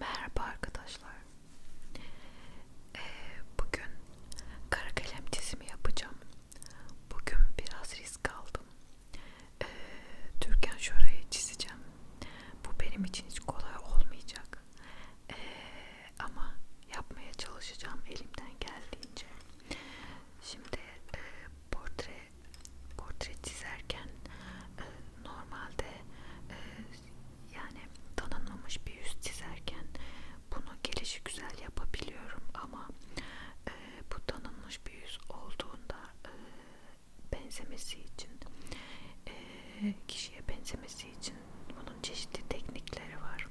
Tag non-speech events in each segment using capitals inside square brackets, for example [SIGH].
Merhaba arkadaşlar. Ee, bugün kara kalem çizimi yapacağım. Bugün biraz risk aldım. Ee, Türkan şurayı çizeceğim. Bu benim için hiç kolay olmayacak. Ee, ama yapmaya çalışacağım elimden geldiğince. Şimdi e, portre portre çizerken e, normalde e, yani tanınmamış bir yüz çizerken bunu gelişi güzel yapabiliyorum ama e, bu tanınmış bir yüz olduğunda e, benzemesi için e, kişiye benzemesi için bunun çeşitli teknikleri var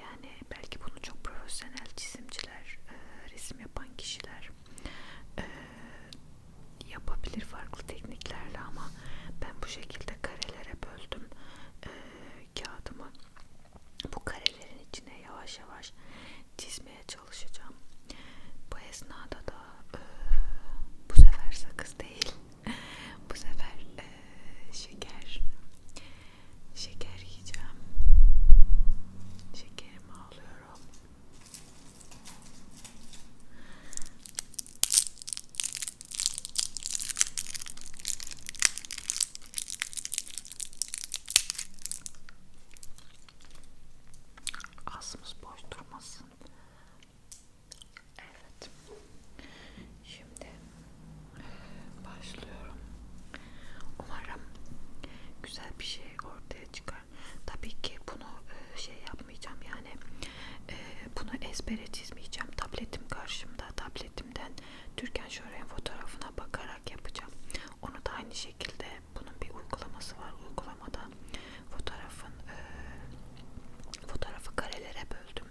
yani belki bunu çok profesyonel çizimciler e, resim yapan kişiler e, yapabilir farklı tekniklerle ama ben bu şekilde karelere böldüm e, kağıdımı bu karelerin içine yavaş yavaş çizmeye çalışacağım bu esnada da e, bu sefer sakız değil [LAUGHS] bu sefer e, şeker şeker yiyeceğim şekerimi alıyorum Ağzımız boş durmasın. Evet. Şimdi başlıyorum. Umarım güzel bir şey ortaya çıkar. Tabii ki bunu e, şey yap yapmayacağım yani e, bunu ezbere çizmeyeceğim tabletim karşımda tabletimden Türkan Şoren fotoğrafına bakarak yapacağım onu da aynı şekilde bunun bir uygulaması var uygulamadan fotoğrafın e, fotoğrafı karelere böldüm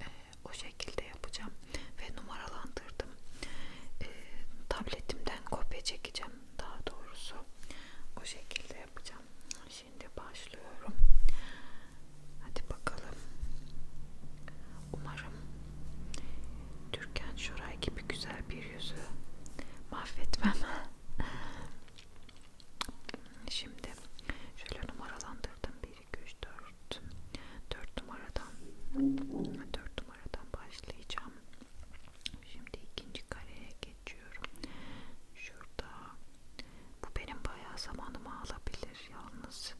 e, o şekilde yapacağım ve numaralandırdım e, tabletimden kopya çekeceğim daha doğrusu o şekilde yapacağım Şimdi başlıyorum. Hadi bakalım. Umarım Türkan Şoray gibi güzel bir yüzü mahvetmem. [LAUGHS] Şimdi şöyle numaralandırdım. 1, 2, 3, 4. 4 numaradan 4 numaradan başlayacağım. Şimdi ikinci kareye geçiyorum. Şurada bu benim bayağı zamanımı alabilir yalnız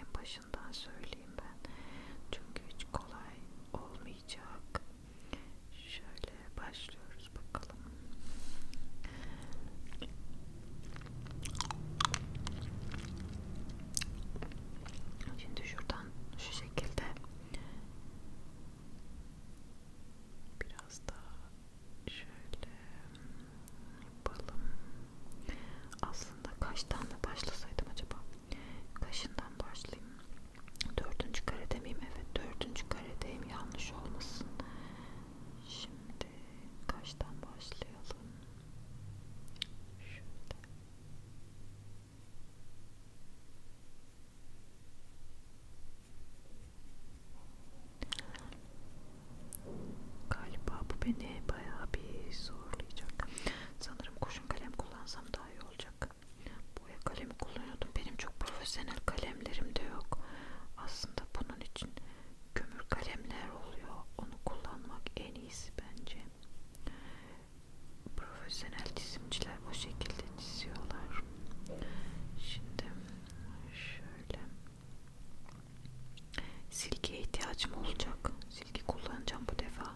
en başından söyleyeyim ben çünkü hiç kolay olmayacak. Şöyle başlıyoruz bakalım. Şimdi şuradan şu şekilde biraz daha Şöyle yapalım. Aslında kaçtan da başlasaydım acaba? Kaşından başlayayım. Dördüncü karede miyim? Evet dördüncü karedeyim. Yanlış olmasın. Şimdi kaçtan başlayalım? Şöyle. Galiba bu beni bayağı bir zorlayacak. Sanırım kurşun kalem kullansam daha iyi olacak. Boya kalemi kullanıyordum. Benim çok profesyonel kalemlerim de yok. Aslında bunun için kömür kalemler oluyor. Onu kullanmak en iyisi bence. Profesyonel çizimciler bu şekilde çiziyorlar. Şimdi şöyle Silgiye ihtiyacım olacak. Silgi kullanacağım bu defa.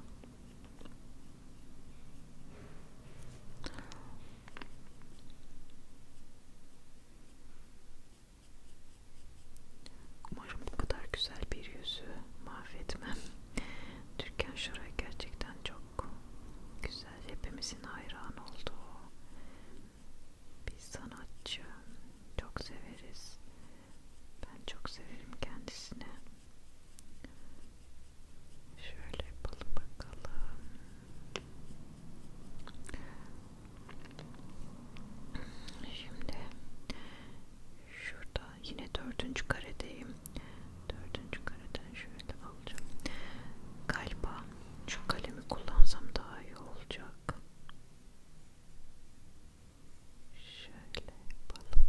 Umarım bu kadar güzel bir yüzü mahvetmem. Türkan Şoray gerçekten çok güzel. Hepimizin hayranı olduğu bir sanatçı. Çok severiz. Ben çok severim kendisini. Şöyle yapalım bakalım. Şimdi şurada yine dördüncü karedeyim. Dördüncü kareden şöyle alacağım. Galiba şu kalemi kullansam daha iyi olacak. Şöyle yapalım.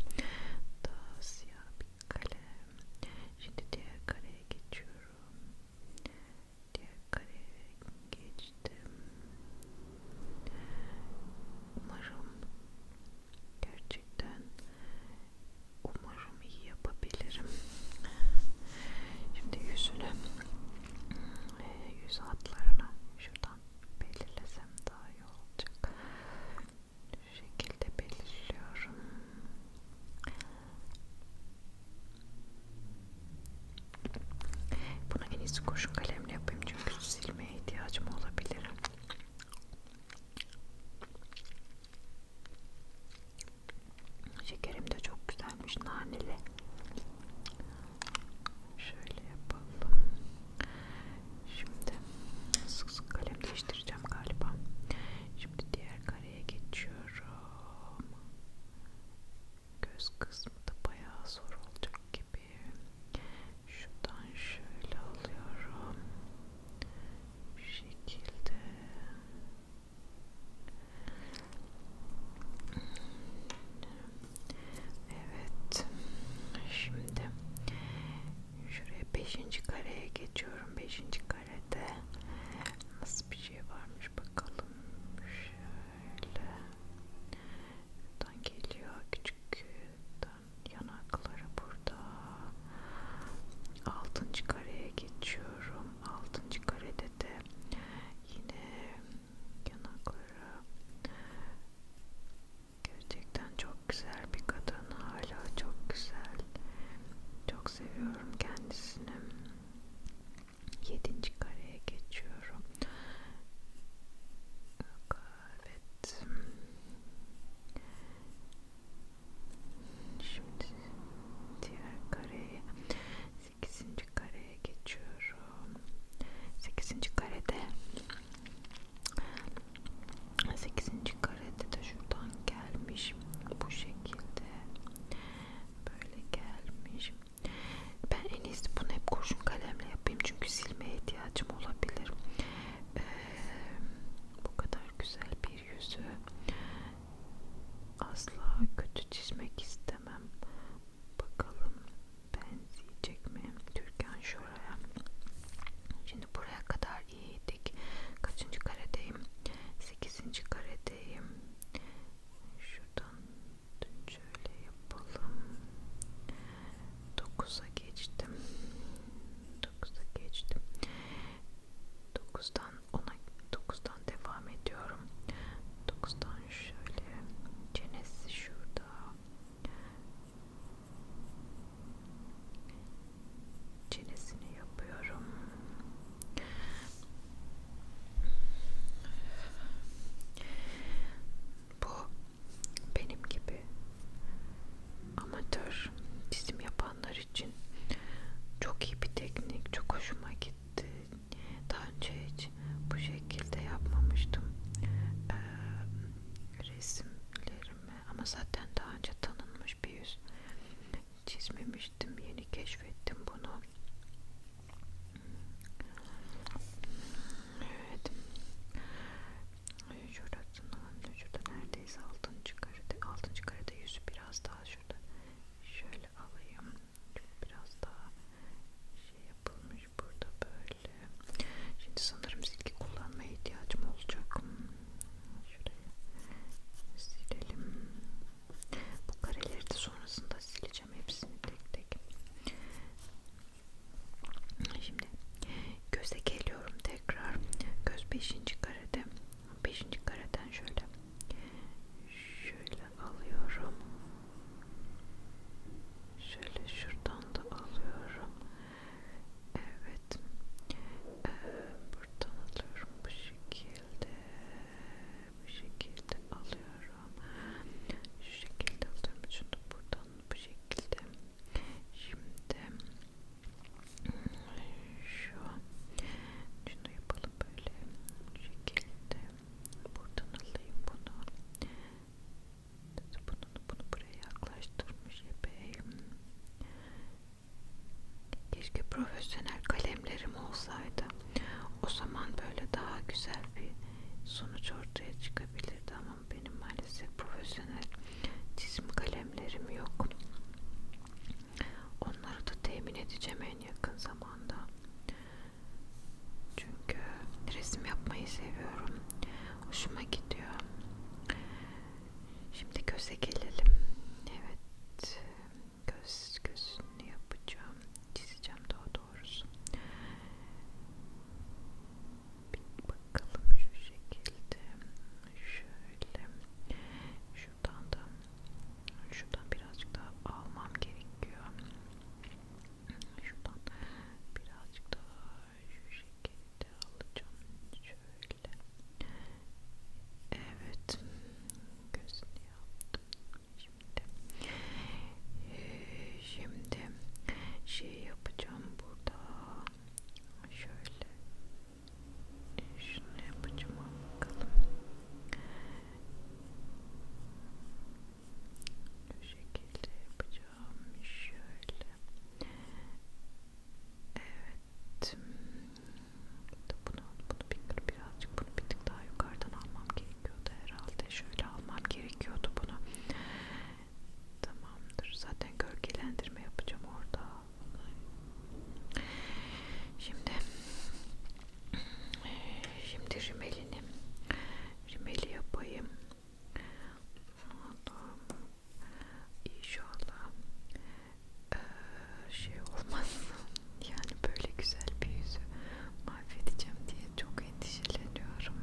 Daha siyah bir kalem. Şimdi diğer kareye geçiyorum. Diğer kareye geçtim. Umarım gerçekten umarım iyi yapabilirim. Şimdi yüzüne ee, yüz hatlarını şuradan belirlesem daha iyi olacak. Şu şekilde belirliyorum. Bunu en iyisi kurşun kalemle yapayım çünkü silmeye ihtiyacım olabilir. Şekerim de çok güzelmiş naneli. Şöyle yapalım. Şimdi sık sık kalem değiştireceğim galiba. Şimdi diğer kareye geçiyorum. Göz kısmı da bayağı zor olacak gibi. Şuradan şöyle alıyorum. Bu şekilde. Evet. Şimdi şuraya 5. kareye geçiyorum. 5. karede nasıl bir şey varmış bakalım. Şöyle. Buradan geliyor küçük yanakları burada. 6. kareye geçiyorum. 6. karede de Yine yanakları gerçekten çok güzel bir kadın hala çok güzel çok seviyorum kendisini yedinci kareye geçiyorum evet şimdi diğer kareye 8. kareye geçiyorum. 8. karede 8. karede de şuradan gelmiş bu şekilde böyle gelmiş. Ben en iyisi bunu hep kurşun kalemle yapayım çünkü silmeye ihtiyacım olabilir. Ee, bu kadar güzel bir yüzü Asla kötü çizmek istemem. Bakalım benzeyecek mi Türkan Şoray'a? Şimdi buraya kadar iyiydik. Kaçıncı karedeyim? 8. karedeyim. Şuradan şöyle yapalım. 9'a geçtim. 9'a geçtim. 9'dan 10'a 9'dan devam ediyorum. 9'dan falan şöyle çenesi şurada çenesini yapıyorum bu benim gibi amatör çizim yapanlar için çok iyi bir teknik çok hoşuma gitti daha önce hiç bu şekilde yapmamıştım ee, resimlerimi ama zaten daha önce tanınmış bir yüz çizmemiştim. Yeni keşfettim bunu. Evet. Şurasından, şurada neredeyse altıncı karede, altıncı karede yüzü biraz daha şurada şöyle alayım. Biraz daha şey yapılmış burada böyle. Şimdi sanırım silgi kullanmaya ihtiyacım olacak. Hmm, şuraya silelim. Bu kareleri de sonrasında sileceğim hepsini tek tek. Şimdi göze geliyorum tekrar. Göz 5. karede. 5. kareden şöyle Şöyle alıyorum. Şöyle şuradan da alıyorum. Evet. Ee, buradan alıyorum bu şekilde. Bu şekilde alıyorum. Şu şekilde alıyorum. Şunu buradan bu şekilde. Şimdi hmm, şu şunu yapalım böyle bu şekilde Buradan alayım bunu. Bunu, bunu buraya yaklaştırmış epey. Keşke profesyonel kalemlerim olsaydı. O zaman böyle daha güzel bir sonuç ortaya çıkabilirdi ama benim maalesef profesyonel çizim kalemlerim yok. Onları da temin edeceğim en yakın zamanda. Çünkü resim yapmayı seviyorum. Hoşuma gidiyor. Şimdi göze gelelim. Evet. Göz gözünü yapacağım. Çizeceğim daha doğrusu. Bir bakalım şu şekilde. Şöyle. Şuradan da şuradan birazcık daha almam gerekiyor. Şuradan birazcık daha şu şekilde alacağım. Şöyle. Evet. Gözünü yaptım. Şimdi. Ee, şimdi şey yapacağım burada. Şöyle. Şunu yapacağım bakalım bu şekilde yapacağım şöyle evet bunu bunu bir birazcık bunu bir tık daha yukarıdan almam gerekiyordu herhalde şöyle almam gerekiyordu bunu tamamdır zaten gölgelendirme yapacağım orada şimdi şimdi rümelini rimeli yapayım. Allah'ım inşallah ee, şey olmaz. [LAUGHS] Yani böyle güzel bir yüzü mahvedeceğim diye çok endişeleniyorum.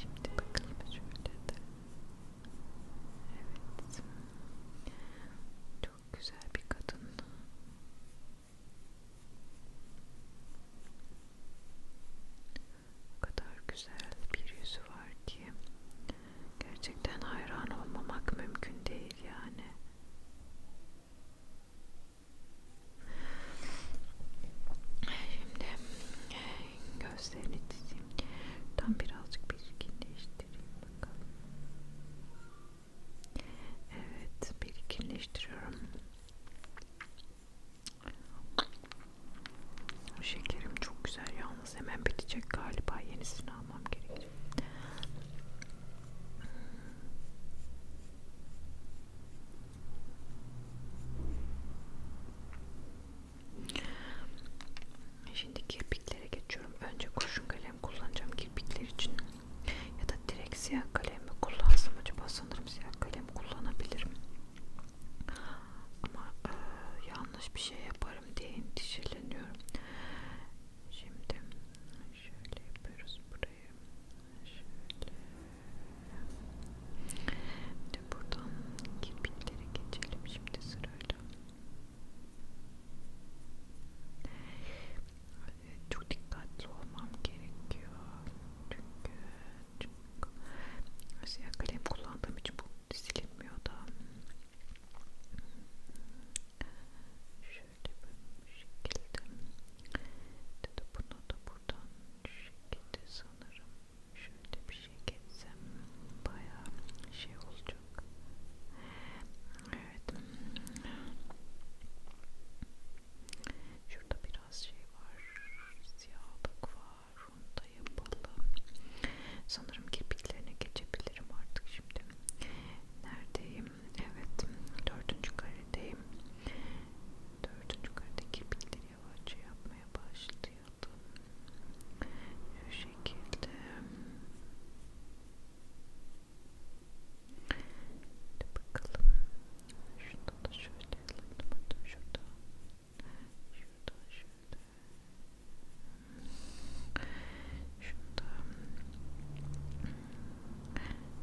Şimdi bakalım şöyle de. Evet. Çok güzel bir kadın. O kadar güzel bir yüzü var ki gerçekten hayran olmamak mümkün değil yani. Şimdi e, gözlerini çizeyim. Tam birazcık belirginleştireyim bakalım. Evet, belirginleştiriyorum. Şekerim çok güzel yalnız hemen bitecek galiba yenisini almam gerekecek. Hmm. Şimdi kirpiklere geçiyorum. Önce kurşun kalem kullanacağım kirpikler için. Ya da direkt siyah kalem mi kullansam acaba sanırım siyah kalem kullanabilirim. Ama e, yanlış bir şey yaparım diye endişeleniyorum. Şimdi şöyle yapıyoruz burayı. Şöyle. Şimdi buradan kirpiklere geçelim şimdi sırayla çok dikkatli olmam gerekiyor çünkü, çünkü şey, kalem kullandığım için bu silinmiyor da şöyle bir şekilde dedi bunu da buradan şekilde sanırım şöyle bir şey geçsem baya şey olacak evet şurada biraz biraz şey var, siyahlık var, onu da yapalım. Sanırım kirpiklerine geçebilirim artık şimdi. Neredeyim? Evet, dördüncü karedeyim. Dördüncü karede kirpikleri yavaşça yapmaya başlayalım. Şu şekilde. Hadi bakalım. Şurada da şöyle alalım. Şurada. Şurada şurada. Şurada.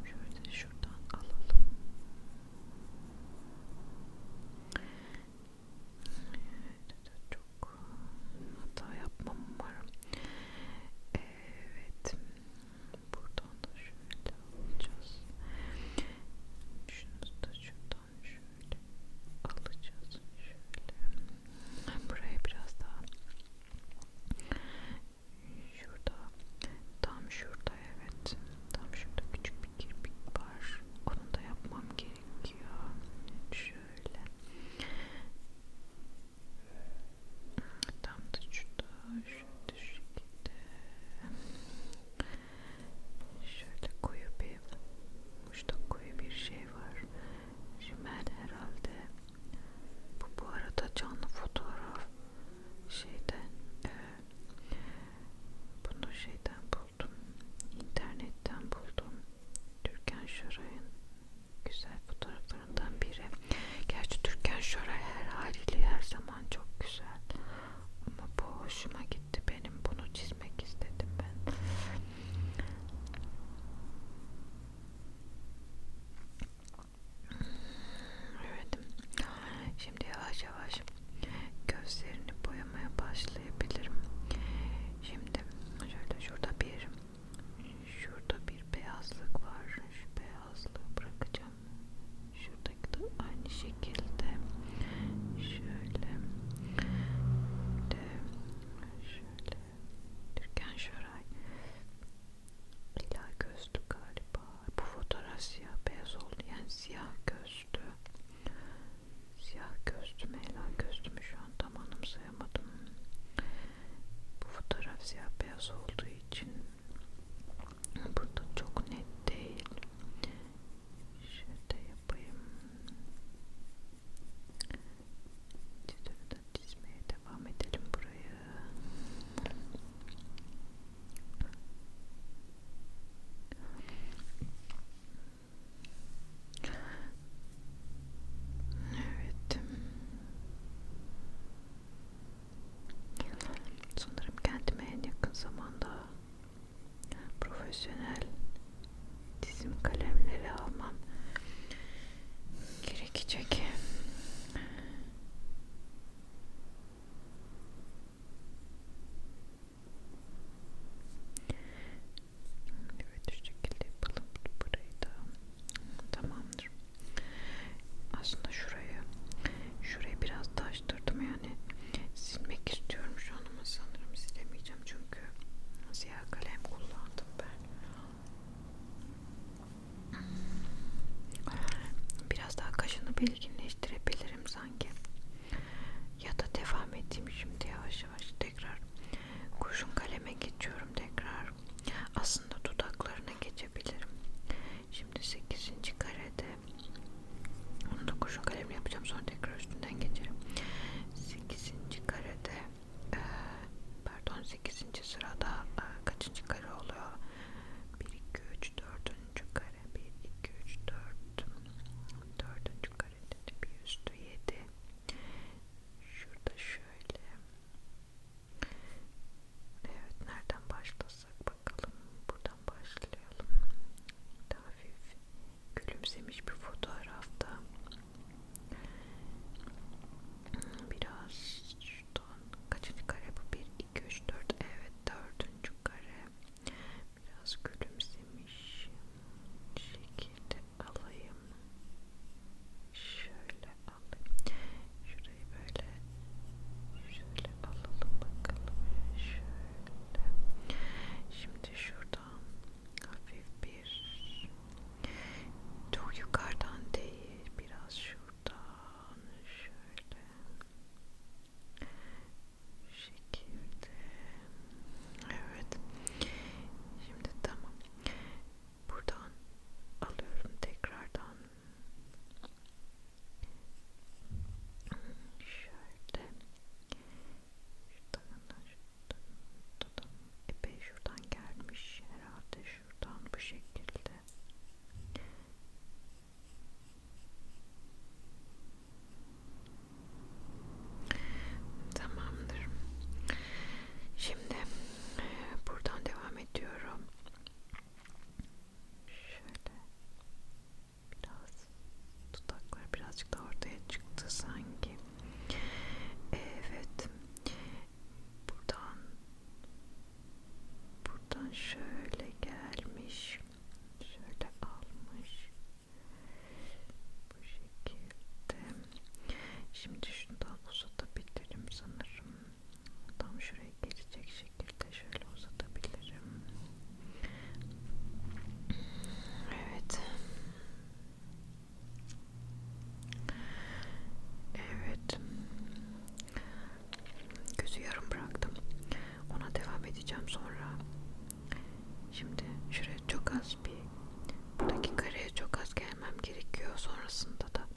Şöyle şuradan alalım. Evet, çok hata yapmam umarım. Evet buradan da şöyle alacağız şunu da şuradan şöyle alacağız şöyle buraya biraz daha şurada tam şurada evet tam şurada küçük bir kirpik var onu da yapmam gerekiyor şöyle tam da şurada şu şekilde şöyle koyu bir uçta koyu bir şey var Rimmel herhalde bu, bu arada canlı fotoğraf şeyden e, bunu şeyden buldum internetten buldum Türkan Şoray'ın güzel fotoğraflarından biri gerçi Türkan Şoray her haliyle her zaman çok güzel ama bu hoşuma gitti benim bunu çizmek istedim ben evet şimdi yavaş yavaş gözlerini boyamaya başlayabilirim şimdi şöyle şurada bir şurada bir beyazlık var şu beyazlığı bırakacağım şuradaki de aynı şekilde şöyle de şöyle Türkan Şoray lila gözlü galiba bu fotoğraf siyah beyaz oldu yani siyah gözlü siyah gözlü mü lila gözlü mü şu an tam anımsayamadım bu fotoğraf siyah beyaz olduğu için Burada çok net değil. Şöyle yapayım. Çizimi de çizmeye devam edelim burayı. Evet. Sanırım kendime en yakın zamanda profesyonel dizim kalemleri almam gerekecek. Evet şu şekilde yapalım burayı da tamamdır. Aslında şurayı, şurayı biraz daha bulaştırdım yani silmek istiyorum şu an ama sanırım silemeyeceğim çünkü siyah kalem kullandım ben biraz daha kaşını belirginleştirebilirim sanki ya da devam edeyim şimdi yavaş yavaş tekrar kurşun kaleme geçiyorum tekrar aslında dudaklarına geçebilirim şimdi 8. karede onu da kurşun kalemle yapacağım. Sonra tekrar üstünden geçerim. 8. karede e, pardon 8. sırada e, kaçıncı kare oluyor? 1, 2, 3, 4. kare 1, 2, 3, 4 4. karede bir üstü 7 şurada şöyle evet nereden başlasak Bakalım buradan başlayalım. Daha hafif gülümsemiş bir fotoğrafta. Biraz şuradan kaçıncı kare bu? 1, 2, 3, 4. Evet 4. kare. Biraz gülümsemiş şekilde alayım. Şöyle alayım. Şurayı böyle Şöyle alalım bakalım. Şöyle. Şimdi şuradan hafif bir çok yukarıdan değil biraz şuradan şöyle bu şekilde evet şimdi tamam buradan alıyorum tekrardan Şöyle. Şuradan, şuradan, epey şuradan gelmiş herhalde şuradan bu şekilde. Tamamdır. Şimdi e, buradan devam ediyorum. Şöyle biraz dudaklar birazcık da ortaya çıktı sanki. Evet. Buradan buradan şöyle gelmiş. Şöyle almış. Bu şekilde. Şimdi şundan uzatabilirim sanırım. Tam şuraya geçecek şekilde şöyle uzatabilirim. Evet. Evet. Gözü yarım bıraktım. Ona devam edeceğim sonra. Şimdi şuraya çok az bir buradaki kareye çok az gelmem gerekiyor. Sonrasında da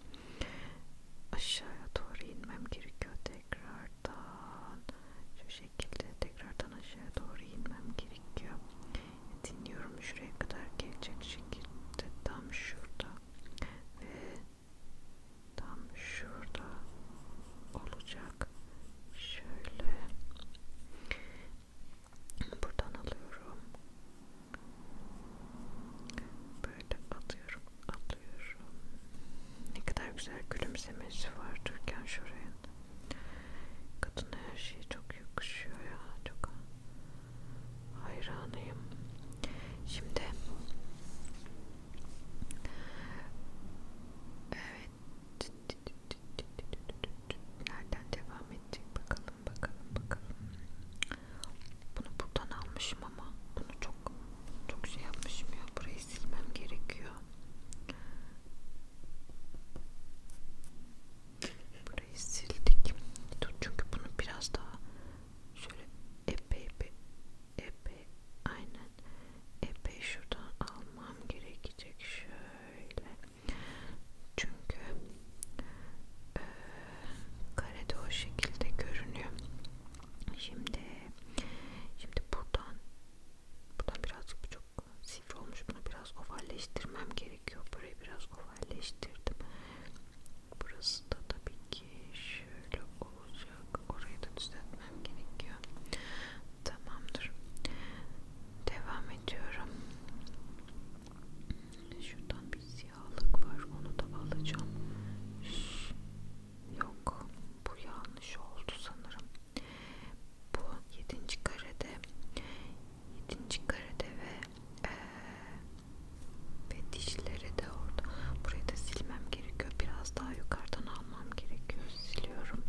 aşağıya doğru inmem gerekiyor tekrar buradan şu şekilde tekrardan aşağı doğru inmem gerekiyor. Dinliyorum şuraya kadar gelecek şekilde tam şurada ve tam şurada olacak. Şöyle buradan alıyorum. Böyle atıyorum. At alıyorum. Ne kadar güzel gülümsemesi var Türkan Şoray'ın. Kadına her şey çok yakışıyor ya. Çok hayranıyım. Şimdi evet nereden devam edecek bakalım bakalım bakalım. Bunu buradan almışım ama bunu çok çok şey yapmışım ya. Burayı silmem gerekiyor. Burayı sildik. Dur çünkü bunu biraz daha şöyle epey epey epey aynen epey şuradan almam gerekecek şöyle. Çünkü e, karede o şekilde görünüyor. Şimdi şimdi buradan Buna birazcık bu çok sivri olmuş. Bunu biraz ovalleştirmem gerekiyor. Burayı biraz ovalleştirdim. Burası da tabii ki şöyle olacak. Orayı da düzeltmem gerekiyor. Tamamdır. Devam ediyorum. Şuradan bir siyahlık var. Onu da alacağım. Yok. Bu yanlış oldu sanırım. Bu 7. karede 7. karede ve e, ve dişleri de orada. Burayı da silmem gerekiyor. Biraz daha yukarıdan almam gerekiyor. Siliyorum.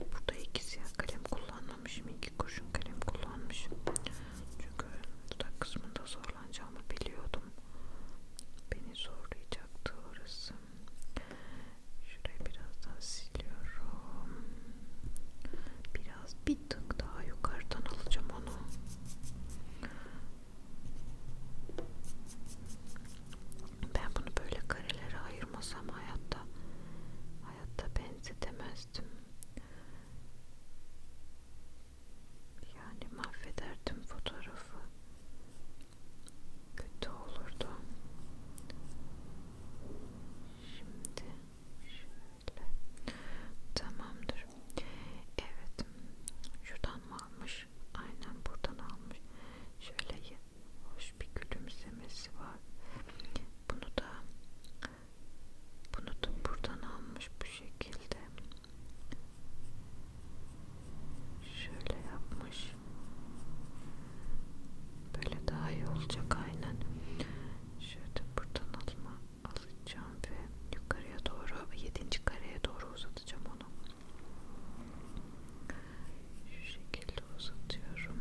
Burada iki siyah kalem kullanmamışım. iki kurşun kalem kullanmışım. Çünkü dudak kısmında zorlanacağımı biliyordum. Beni zorlayacaktı orası. Şurayı biraz daha siliyorum. Biraz bir tık daha yukarıdan alacağım onu. Ben bunu böyle karelere ayırmasam hayatta hayatta benzetemezdim. Yani mahvederdim fotoğrafı kötü olurdu. Şimdi şöyle tamamdır. Evet, şuradan mı almış? Aynen buradan almış. Şöyle hoş bir gülümsemesi var. Bunu da bunu da buradan almış bu şekilde. Şöyle yapmış. Böyle daha iyi olacak aynen. Şöyle buradan alma alacağım ve yukarıya doğru yedinci kareye doğru uzatacağım onu. Şu şekilde uzatıyorum.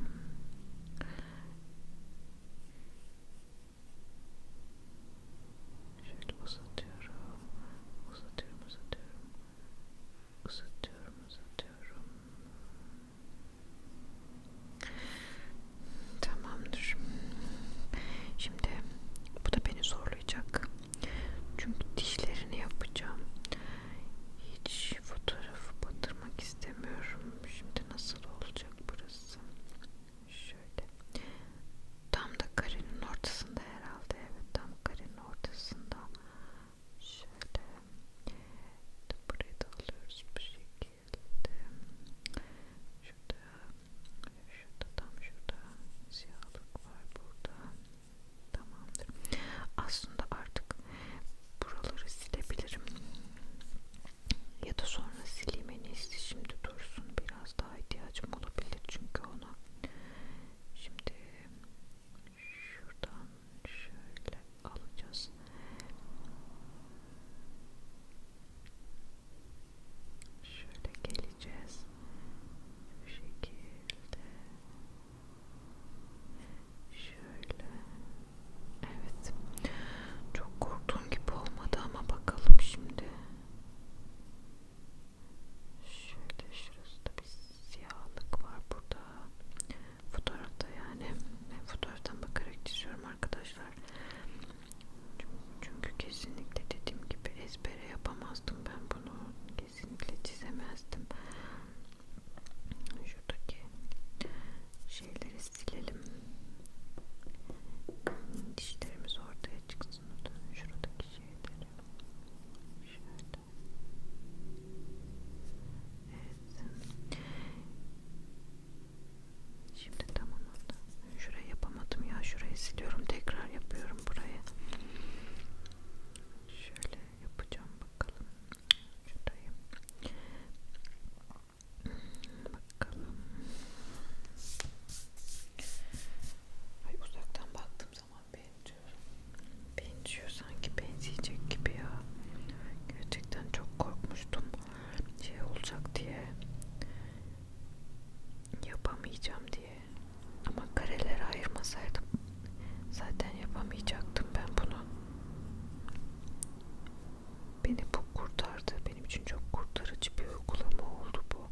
Şöyle uzatıyorum, uzatıyorum, uzatıyorum. Uzatıyorum, uzatıyorum. Tamamdır. Şimdi bu da beni zorlayacak. Çünkü dişlerini yapacağım. Hiç fotoğrafı batırmak istemiyorum. Şimdi nasıl olacak burası? Şöyle. Tam da karenin ortasında herhalde. Evet, tam karenin ortasında şöyle burayı da alıyoruz bu şekilde şurada şurada tam şurada siyahlık var burada tamamdır aslında artık buraları silebilirim ya da sonra sileyim en iyisi şimdi dursun biraz daha ihtiyacım olabilir çünkü ona şimdi şuradan şöyle alacağız. Şöyle geleceğiz. Bu şekilde. Şöyle. Evet. Çok korktuğum gibi olmadı ama bakalım şimdi. Şöyle şurası da bir siyahlık var burada fotoğrafta yani ben fotoğraftan bakarak çiziyorum arkadaşlar çünkü kesinlikle dediğim gibi ezbere yapamazdım ben bunu kesinlikle çizemezdim şuradaki şeyleri silelim dişlerimiz ortaya çıksın şuradaki şeyleri şöyle Evet. Şimdi tamam oldu. Şurayı yapamadım ya. Şurayı siliyorum. Tekrar yapıyorum burayı. Şöyle yapacağım bakalım. Şurayı. Bakalım. Ay uzaktan baktığım zaman benziyor. Benziyor sanki benzeyecek gibi ya. Gerçekten çok korkmuştum. Şey olacak diye. Yapamayacağım diye. Ama karelere ayırmasaydım zaten yapamayacaktım ben bunu. Beni bu kurtardı. Benim için çok kurtarıcı bir uygulama oldu bu.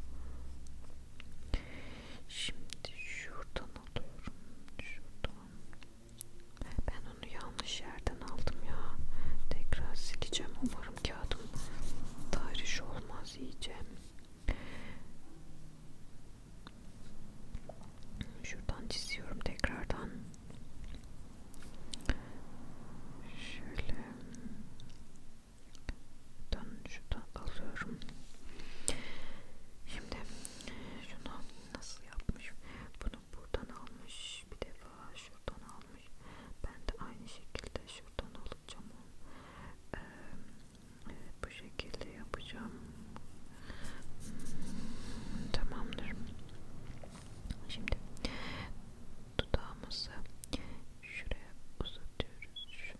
Şimdi şuradan alıyorum. Şuradan. Ben onu yanlış yerden aldım ya. Tekrar sileceğim. Umarım kağıdım tahriş olmaz yiyeceğim. Şuradan çiziyorum tekrardan. Şöyle şuradan alıyorum. Şimdi şunu nasıl yapmış? Bunu buradan almış bir defa, şuradan almış. Ben de aynı şekilde şuradan alacağım onu. Ee, evet, bu şekilde yapacağım. Tamamdır. Şimdi dudağımızı şuraya uzatıyoruz. Şöyle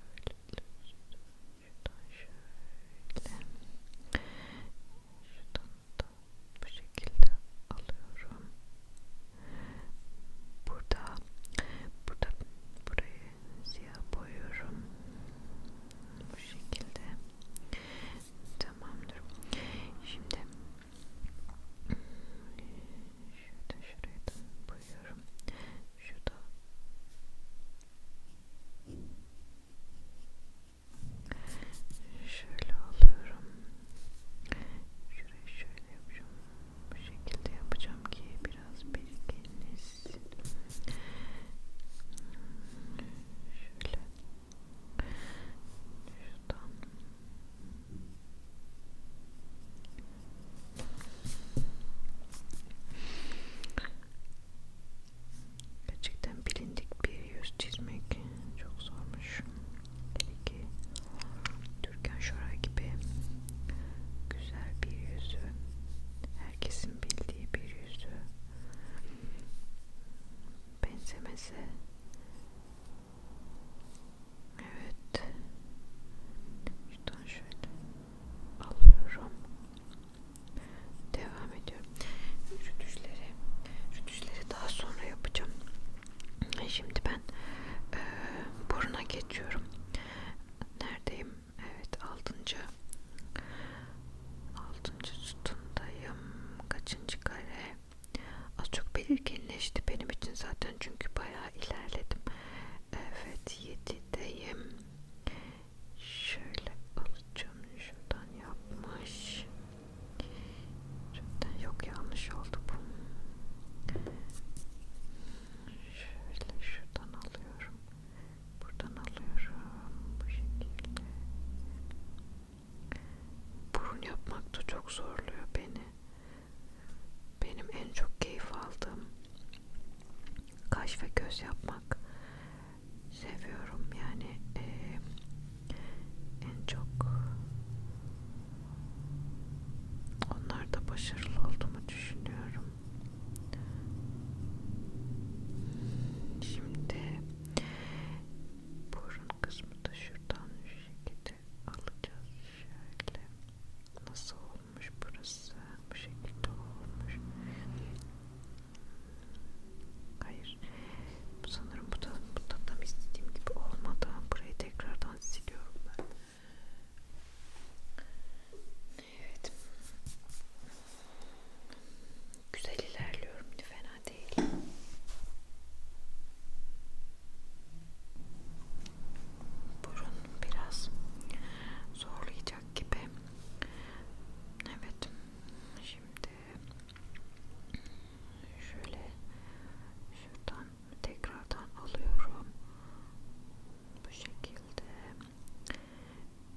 Şuradan şöyle. Şuradan da bu şekilde alıyorum. Burada, burada burayı siyah boyuyorum. Bu şekilde. Tamamdır. Şimdi şurada şuraya da boyuyorum. Şurada Şöyle alıyorum. Şurayı şöyle yapacağım. Bu şekilde yapacağım ki biraz birikiniz. Şöyle. Şuradan. Gerçekten bilindik bir yüz çizmek çok zormuş. Dedi ki Türkan Şoray gibi güzel bir yüzü, herkesin bildiği bir yüzü benzemesi. Evet. Şuradan şöyle alıyorum devam ediyorum rütüşleri rütüşleri daha sonra yapacağım şimdi ben e, buruna geçiyorum neredeyim evet altıncı altıncı sütundayım kaçıncı kare az çok belirginleşti benim için zaten çünkü bayağı ilerledim evet yedideyim şöyle alıcım şuradan yapmış şuradan yok yanlış oldu bu şöyle şuradan alıyorum buradan alıyorum bu şekilde burun yapmak da çok zorluyor beni benim en çok keyif aldığım kaş ve göz yapmak seviyorum yani e, en çok onlarda başarılı olduğumu düşünüyorum. Şimdi burun kısmı da şuradan şu şekilde alacağız şöyle. Nasıl olmuş burası? Bu şekilde olmuş. Hayır. Sanırım bu da, bu da tam istediğim gibi olmadı. Burayı tekrardan siliyorum ben. Evet. Güzel ilerliyorum. Fena değil. Burun biraz zorlayacak gibi. Evet. Şimdi şöyle şuradan tekrardan alıyorum bu şekilde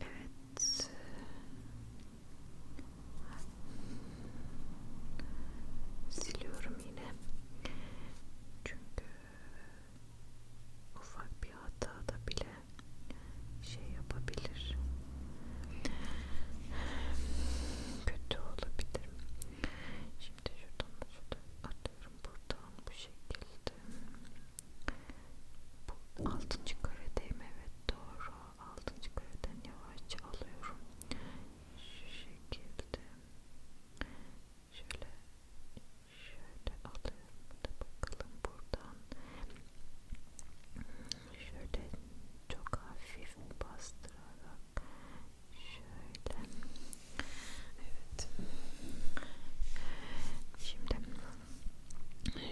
evet siliyorum yine çünkü ufak bir hata da bile şey yapabilir kötü olabilir şimdi şuradan şuradan atıyorum buradan bu şekilde bu altıncı karedeyim evet doğru altıncı kareden yavaşça alıyorum şu şekilde şöyle şöyle alıyorum da bakalım buradan şöyle çok hafif bastırarak şöyle evet şimdi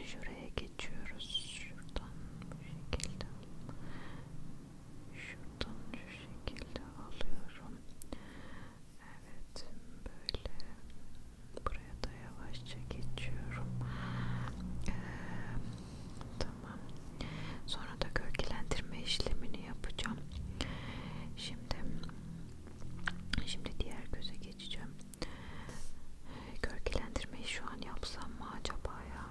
şuraya geçiyoruz şuradan bu şekilde şuradan şu şekilde alıyorum evet böyle buraya da yavaşça geçiyorum ee, Tamam. Sonra da gölgelendirme işlemini yapacağım. Şimdi şimdi diğer göze geçeceğim. Gölgelendirmeyi şu an yapsam mı acaba ya?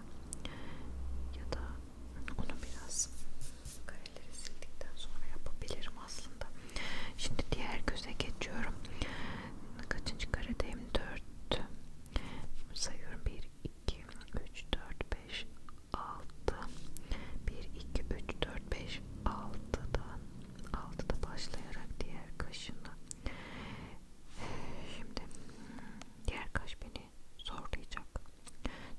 Ya da onu biraz kareleri sildikten sonra yapabilirim aslında. Şimdi diğer göze geçiyorum. Kaçıncı karedeyim? 4 sayıyorum 1 2 3 4 5 6 1 2 3 4 5 6'dan 6'da başlayarak diğer kaşına şimdi diğer kaş beni zorlayacak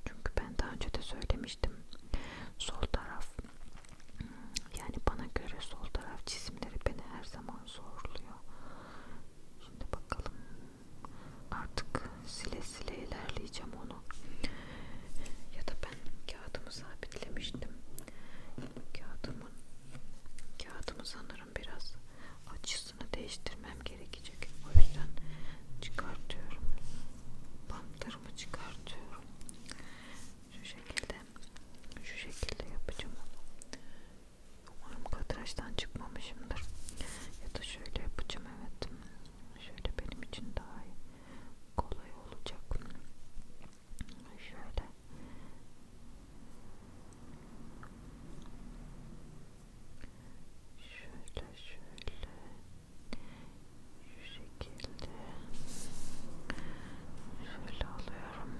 çünkü ben daha önce de söylemiştim sol taraf yani bana göre sol taraf cisimleri beni her zaman zorluyor Şimdi bakalım. Artık sile sile ilerleyeceğim onu. Ya da ben kağıdımı sabitlemiştim. Kağıdımın kağıdımı sanırım biraz açısını değiştirmem gerekecek. O yüzden çıkartıyorum. Bantlarımı çıkartıyorum. Şu şekilde şu şekilde yapacağım onu. Umarım kadrajdan çıkmamışımdır. Ya da şöyle yapacağım evet. Şöyle benim için daha iyi. kolay olacak. Şöyle. Şöyle şöyle. Şu şekilde. Şöyle alıyorum.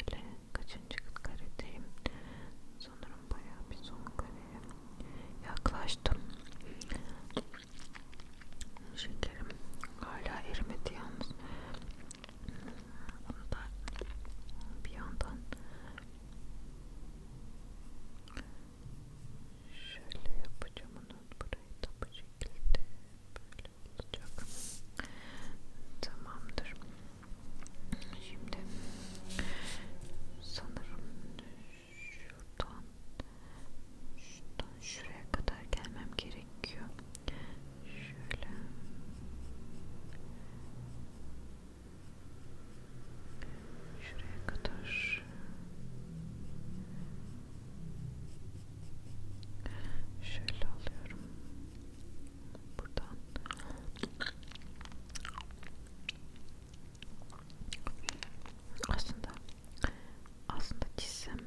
Şöyle kaçıncı karedeyim? Sanırım bayağı bir son kareye yaklaştım. Şekerim hala erimedi yalnız. Onu da bir yandan şöyle yapacağım onu burayı da bu şekilde Böyle olacak. Tamamdır. Şimdi sanırım şuradan şuradan şuraya kadar gelmem gerekiyor. Şöyle şuraya kadar şöyle alıyorum buradan aslında aslında çizsem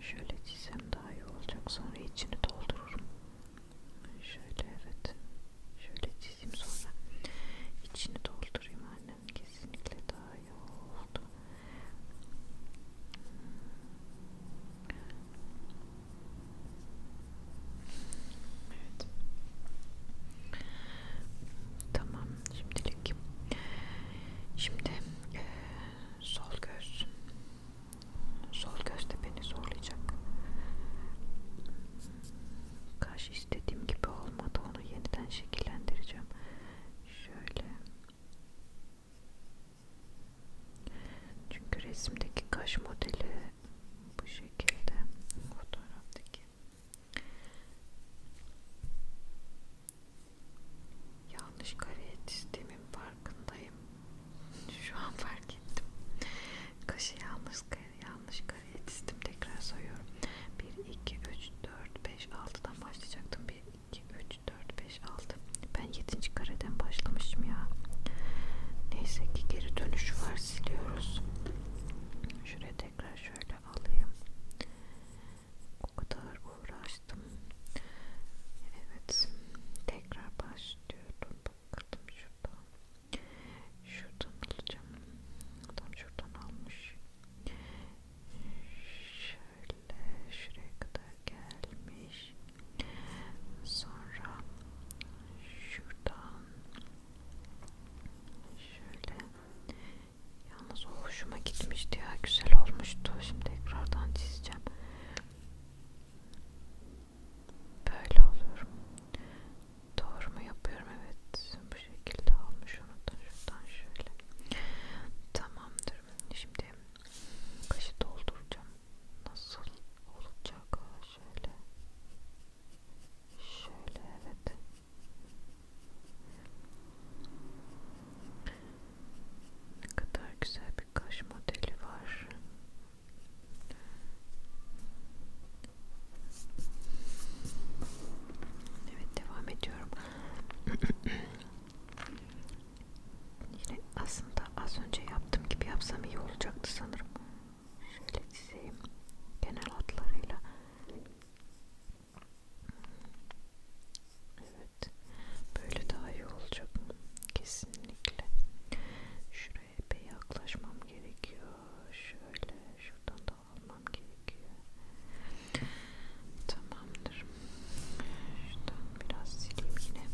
şöyle çizsem daha iyi olacak sonra içini doldururum şöyle evet şöyle çizeyim sonra içini doldurayım annem kesinlikle daha iyi oldu Evet. Tamam şimdilik. Şimdi e, sol göz. Sol göz de beni zorlayacak. Kaş istediğim gibi olmadı. Onu yeniden şekillendireceğim. Şöyle çünkü resimdeki kaş modeli bu şekilde fotoğraftaki. Yanlış kareye çizdiğimin farkındayım. [LAUGHS] Şu an fark ettim. Kaşı yanlış, yanlış kareye çizdim. Tekrar sayıyorum. 1, 2, 3, 4, 5, 6'dan başlayacaktım. 1, 2, 3, 4, 5, 5, 6 ben 7. kareden başlamışım ya neyse ki geri dönüş var siliyoruz şuraya tekrar şöyle alayım o kadar uğraştım evet tekrar başlıyorum bakalım şuradan şuradan alacağım adam şuradan almış şöyle şuraya kadar gelmiş Sonra şuradan şöyle yalnız o hoşuma gitmişti ya güzel olmuştu. Şimdi tekrardan çizeceğim. Böyle olur. Doğru mu yapıyorum? Evet. Bu şekilde almış onu da şuradan şöyle. Tamamdır. Şimdi kaşı dolduracağım nasıl olacak şöyle şöyle evet ne kadar güzel bir kaş modeli var evet devam ediyorum [CLEARS THROAT] Yine aslında az önce yaptığım gibi yapsam iyi olacaktı sanırım. Şöyle çizeyim genel hatlarıyla. Evet, böyle daha iyi olacak kesinlikle. Şuraya epey yaklaşmam gerekiyor. Şöyle şuradan da almam gerekiyor. Tamamdır. Şuradan biraz sileyim yine.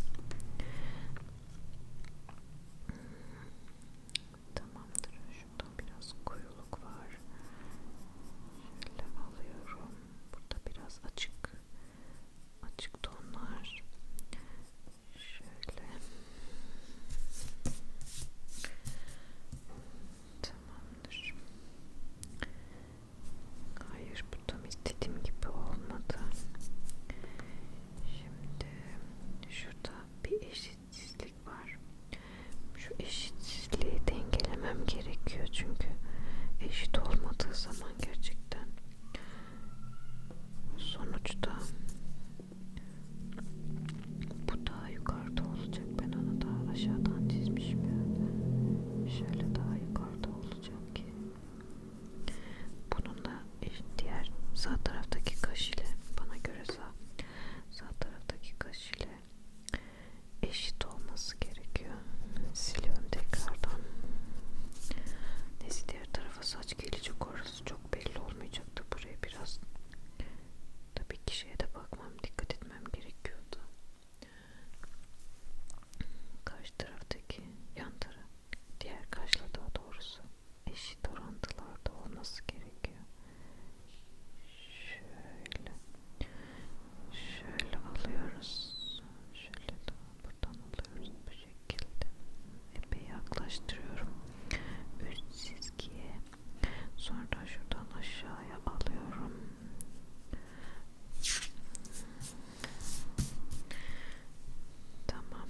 Tamamdır. Şuradan biraz koyuluk var. Şöyle alıyorum. Burada biraz açık açık tonlar. Şöyle. Tamamdır. Hayır bu tam istediğim gibi olmadı. Şimdi şurada bir eşitsizlik var. Şu eşitsizliği dengelemem gerekiyor çünkü eşit olmadığı zaman gerçekten sonuçta bu daha yukarıda olacak. Ben onu daha aşağıdan çizmişim yani. Şöyle daha yukarıda olacak ki bunun da diğer sağ taraftaki kaş ile bana göre sağ sağ taraftaki kaş ile eşit olması gerekiyor. Siliyorum tekrardan. Neyse diğer tarafa saç gelecek orası çok belli olmayacaktı. Buraya biraz tabii ki şeye de bakmam dikkat etmem gerekiyordu. Karşı taraftaki yan taraf diğer kaşla daha doğrusu eşit orantılarda olması gerekiyor. Şöyle, şöyle alıyoruz, şöyle de buradan alıyoruz bu şekilde. Epey yaklaştırıyorum üst çizgiye. Sonra şuradan aşağıya alıyorum. Tamam.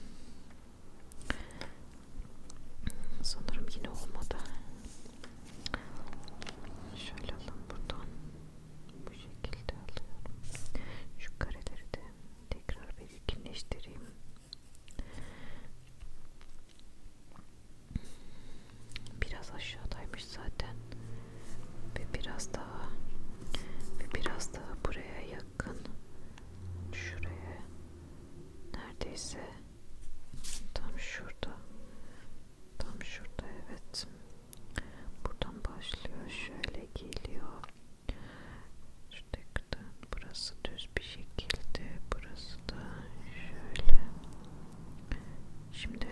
Sanırım yine olmadı. Şöyle alalım buradan. Bu şekilde alıyorum. Şu kareleri de tekrar belirginleştireyim. Biraz aşağıdaymış zaten. Ve biraz daha ve biraz daha buraya yakın şuraya neredeyse tam şurada tam şurada evet buradan başlıyor şöyle geliyor şuradan burası düz bir şekilde burası da şöyle şimdi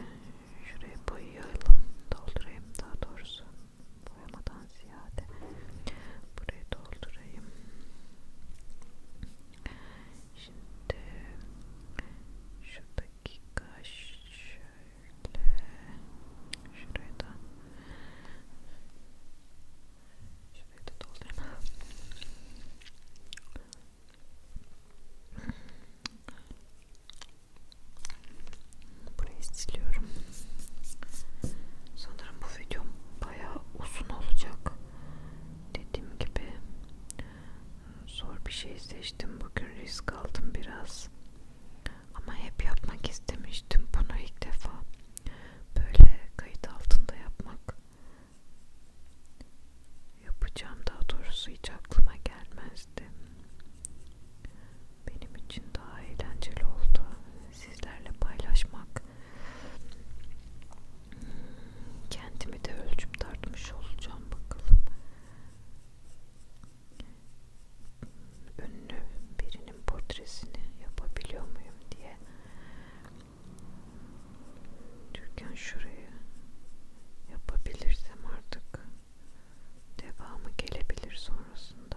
şuraya boyayalım doldurayım daha doğrusu boyamadan ziyade burayı doldurayım. Şimdi şuradaki kaş şöyle şuraya da şurayı da doldurayım. Burayı siliyorum. Sanırım bu videom bayağı uzun olacak. Dediğim gibi zor bir şey seçtim. Bugün risk aldım biraz. Ama hep yapmak istemiştim. Bunu ilk defa böyle kayıt altında yapmak yapacağım. Daha doğrusu hiç aklıma gelmezdi. Benim için daha eğlenceli oldu sizlerle paylaşmak kendimi de ölçüp tartmış olacağım bakalım ünlü birinin portresini yapabiliyor muyum diye Türkan şurayı yapabilirsem artık devamı gelebilir sonrasında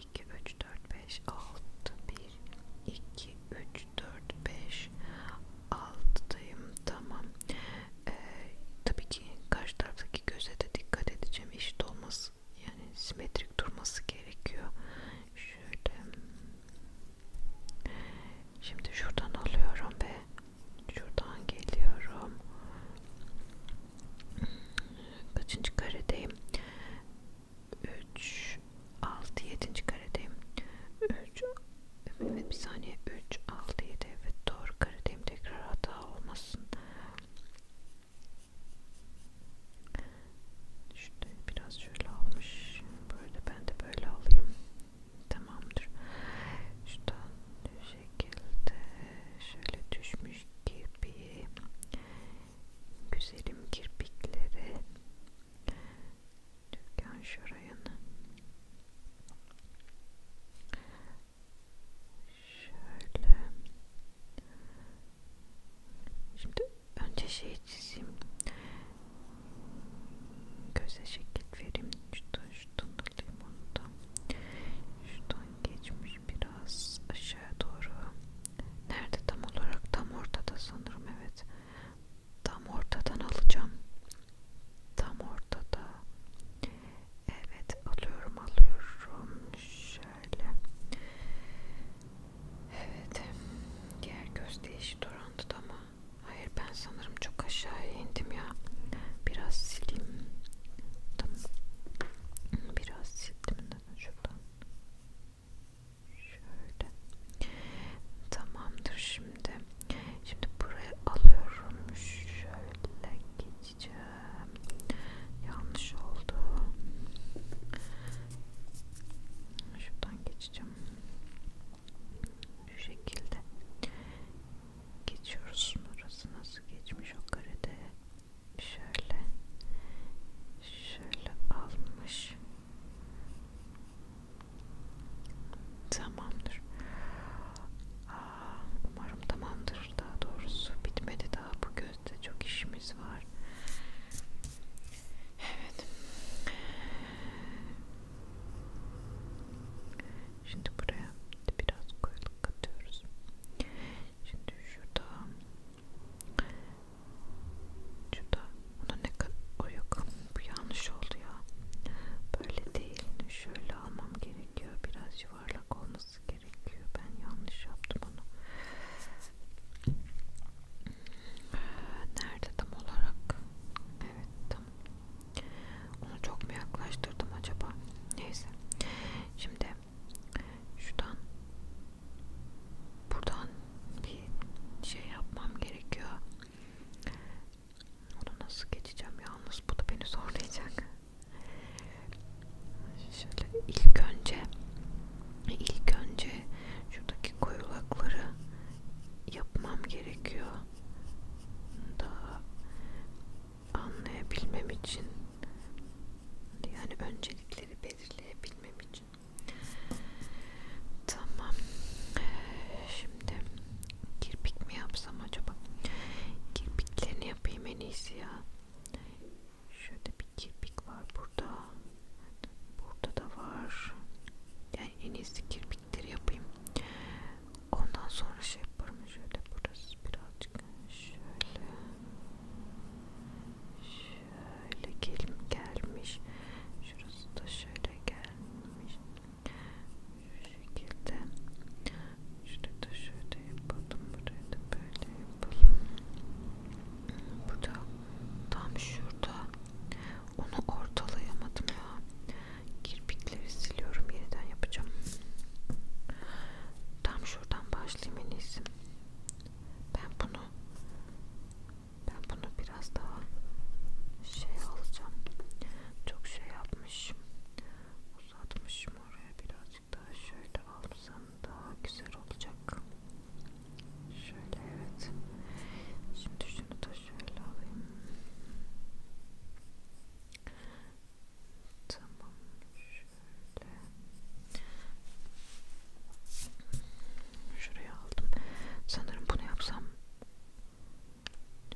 2, 3, 4, 5, 6, 1, 2, 3, 4, 5, 6'dayım. Tamam. Ee, tabii ki karşı taraftaki göze de dikkat edeceğim. Eşit olması, yani simetrik durması gerekiyor. Şöyle. Şimdi şuradan alıyorum ve şuradan geliyorum. Kaçıncı karedeyim? 3 6 7. karedeyim. 3 evet bir saniye 3 6 7 evet doğru karedeyim. Tekrar hata olmasın. İşte biraz şöyle almış. Böyle ben de böyle alayım. Tamamdır. Şuradan bu şekilde şöyle düşmüş gibi güzelim kirpikleri Türkan Şoray'ın şöyle şimdi önce şey çizeyim göze şekil vereyim şuradan şuradan alayım onu da şuradan geçmiş biraz aşağı doğru Nerede tam olarak? Tam ortada sanırım evet. Tam ortadan alacağım. Tam ortada. Evet alıyorum alıyorum. Şöyle. Evet. Diğer göz değişi durandı ama. Hayır ben sanırım çok aşağıya indim ya. Biraz sileyim. Tamam. Biraz sildim de şuradan. Şöyle. Tamamdır şimdi. Şimdi buraya alıyorum. Şöyle geçeceğim. Yanlış oldu. Şuradan geçeceğim. Şu şekilde geçiyoruz. Burası nasıl geçmiş o karede? şöyle şöyle almış tamamdır Aa, umarım tamamdır daha doğrusu bitmedi daha bu gözde çok işimiz var evet şimdi buraya biraz koyuluk katıyoruz şimdi şurada Şurada ona ne kadar o yok. Bu yanlış oldu ya. Böyle değil. Şöyle almam gerekiyor. Biraz yuvarlak olması gerekiyor. Ben yanlış yaptım onu. Nerede tam olarak? Evet tam. Onu çok mu yaklaştırdım acaba? Neyse. Şimdi şuradan buradan bir şey yapmam gerekiyor. Onu nasıl geçeceğim yalnız bu da beni zorlayacak. Şöyle ilk önce ilk önce şuradaki koyulakları yapmam gerekiyor. Daha anlayabilmem için yani öncelikleri belirleyebilmem için Tamam. Şimdi kirpik mi yapsam acaba? Kirpiklerini yapayım en iyisi ya. Şöyle bir kirpik var burada. Burada da var. Yani en iyisi kirpikleri yapayım. Ondan sonra şey yaparım. Şöyle burası birazcık. Şöyle. Şöyle şöyle gel gelmiş şurası da şöyle gelmiş şu şekilde şurayı da şöyle yapalım burayı da böyle yapalım bu da tam şurada onu ortalayamadım ya kirpikleri siliyorum yeniden yapacağım tam şuradan başlayayım en iyisi ben bunu ben bunu biraz daha şey alacağım. Çok şey yapmışım. Uzatmışım oraya birazcık daha şöyle alsam daha güzel olacak. Şöyle evet. Şimdi şunu da şöyle alayım. Tamam şöyle. Şuraya aldım. Sanırım bunu yapsam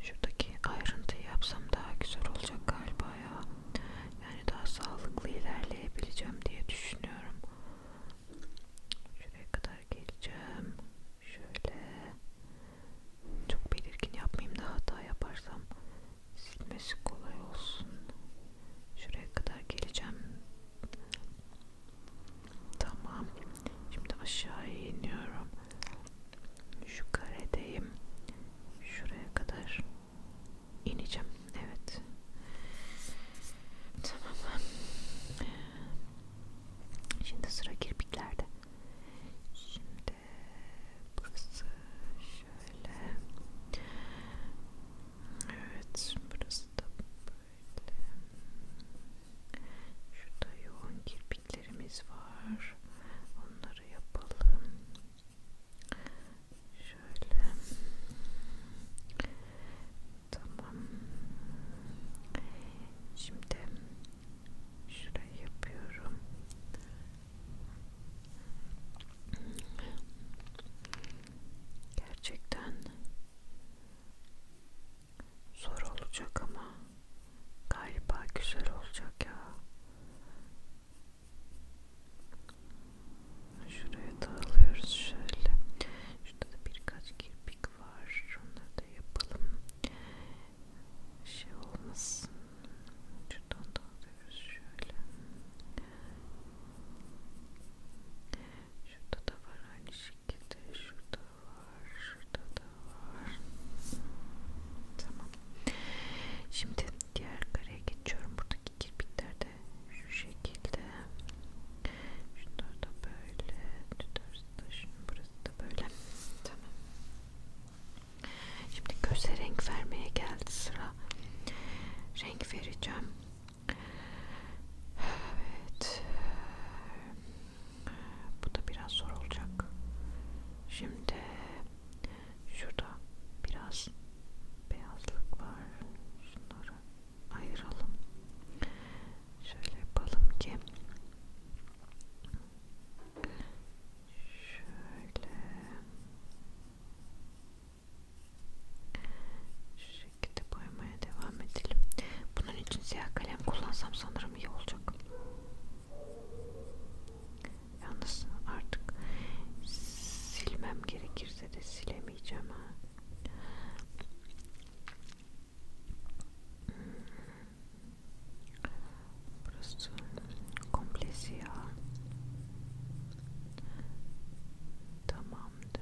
şuradaki ayrıntıyı yapsam daha güzel olacak galiba ya. Yani daha sağlıklı ilerleyebileceğim diye düşünüyorum. Şuraya kadar geleceğim. Şöyle çok belirgin yapmayayım da hata yaparsam silmesi kolay olsun. Şuraya kadar geleceğim. Tamam. Şimdi aşağıya iniyorum. Şu karedeyim. Şuraya kadar ineceğim. Evet. Tamam. Şimdi sıra kirpiklerde. Şimdi burası şöyle. Evet, burası da Şurada yoğun kirpiklerimiz var. Onları yapalım. Şöyle. Tamam. Şimdi şurayı yapıyorum. Gerçekten Zor olacak ama galiba güzel olacak ya. Şuraya dağılıyoruz şöyle. Şurada da birkaç kirpik var. Onları da yapalım. Şey olmasın. Şuradan dağılıyoruz şöyle. Şurada da var aynı şey şekilde şurada var şurada da var tamam şimdi diğer kareye geçiyorum buradaki kirpikler de şu şekilde şunlar da böyle tutarız da şunun burası da böyle tamam şimdi göze renk vermeye geldi sıra renk vereceğim Evet. Bu da biraz zor olacak. Şimdi şurada biraz beyazlık var. Şunları ayıralım. Şöyle yapalım ki şöyle şekilde boyamaya devam edelim. Bunun için siyah kalem kullansam sanırım iyi olacak. Yalnız artık silmem gerekirse de silemeyeceğim ha. Burası komple siyah. Tamamdır.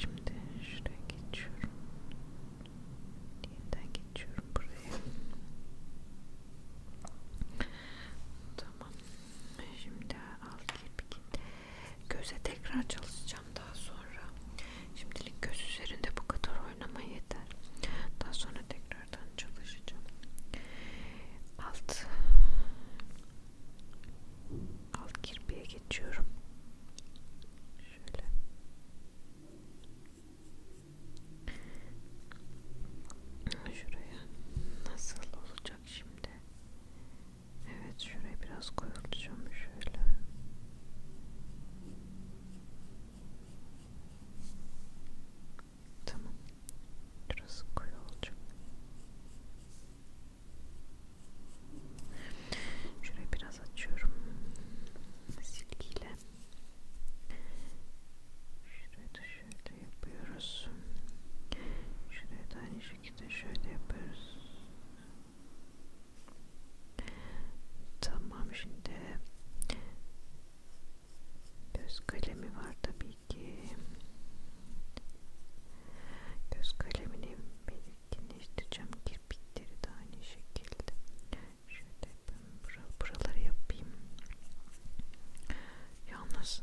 Şimdi şuraya geçiyorum. Yeniden geçiyorum buraya. Tamam. Şimdi al kirpik. Göze tekrar çalışacağım daha sonra. Şimdilik göz üzerinde bu kadar oynama yeter. Daha sonra tekrardan çalışacağım. Alt alt kirpiye geçiyorum şöyle şuraya nasıl olacak şimdi evet şuraya biraz koyulacağım şöyle Tamam. Şurası koyu olacak. Şurayı biraz açıyorum silgiyle. Şurayı da şöyle yapıyoruz. Şurayı da aynı şekilde şöyle yapıyoruz. Tamam şimdi göz kalemi var tabii ki. Göz kalemini bir genişleteceğim kirpikleri de aynı şekilde şöyle ben bura, buraları yapayım yalnız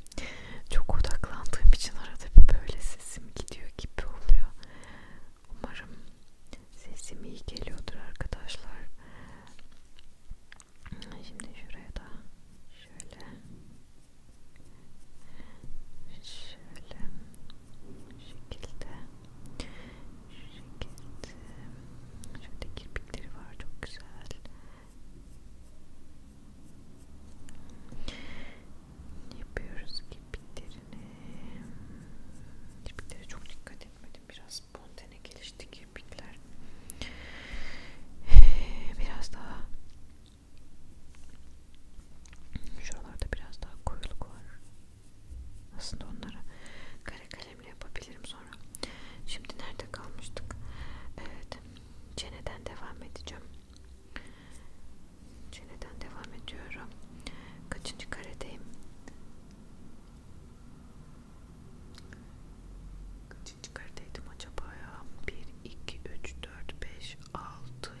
[LAUGHS] çok odaklandığım için arada bir böyle sesim gidiyor gibi oluyor umarım sesim iyi geliyordur arkadaşlar şimdi şuraya da şöyle şöyle şu şekilde şu şekilde şöyle kirpikleri var çok güzel yapıyoruz kirpiklerini kirpiklere çok dikkat etmedim biraz spontane gelişti kirpikler biraz daha Şuralarda biraz daha koyuluk var. Aslında onları kare kalemle yapabilirim sonra. Şimdi nerede kalmıştık? Evet. Çeneden devam edeceğim. Çeneden devam ediyorum. Kaçıncı karedeyim? Kaçıncı karedeydim acaba ya? 1, 2, 3, 4, 5, 6,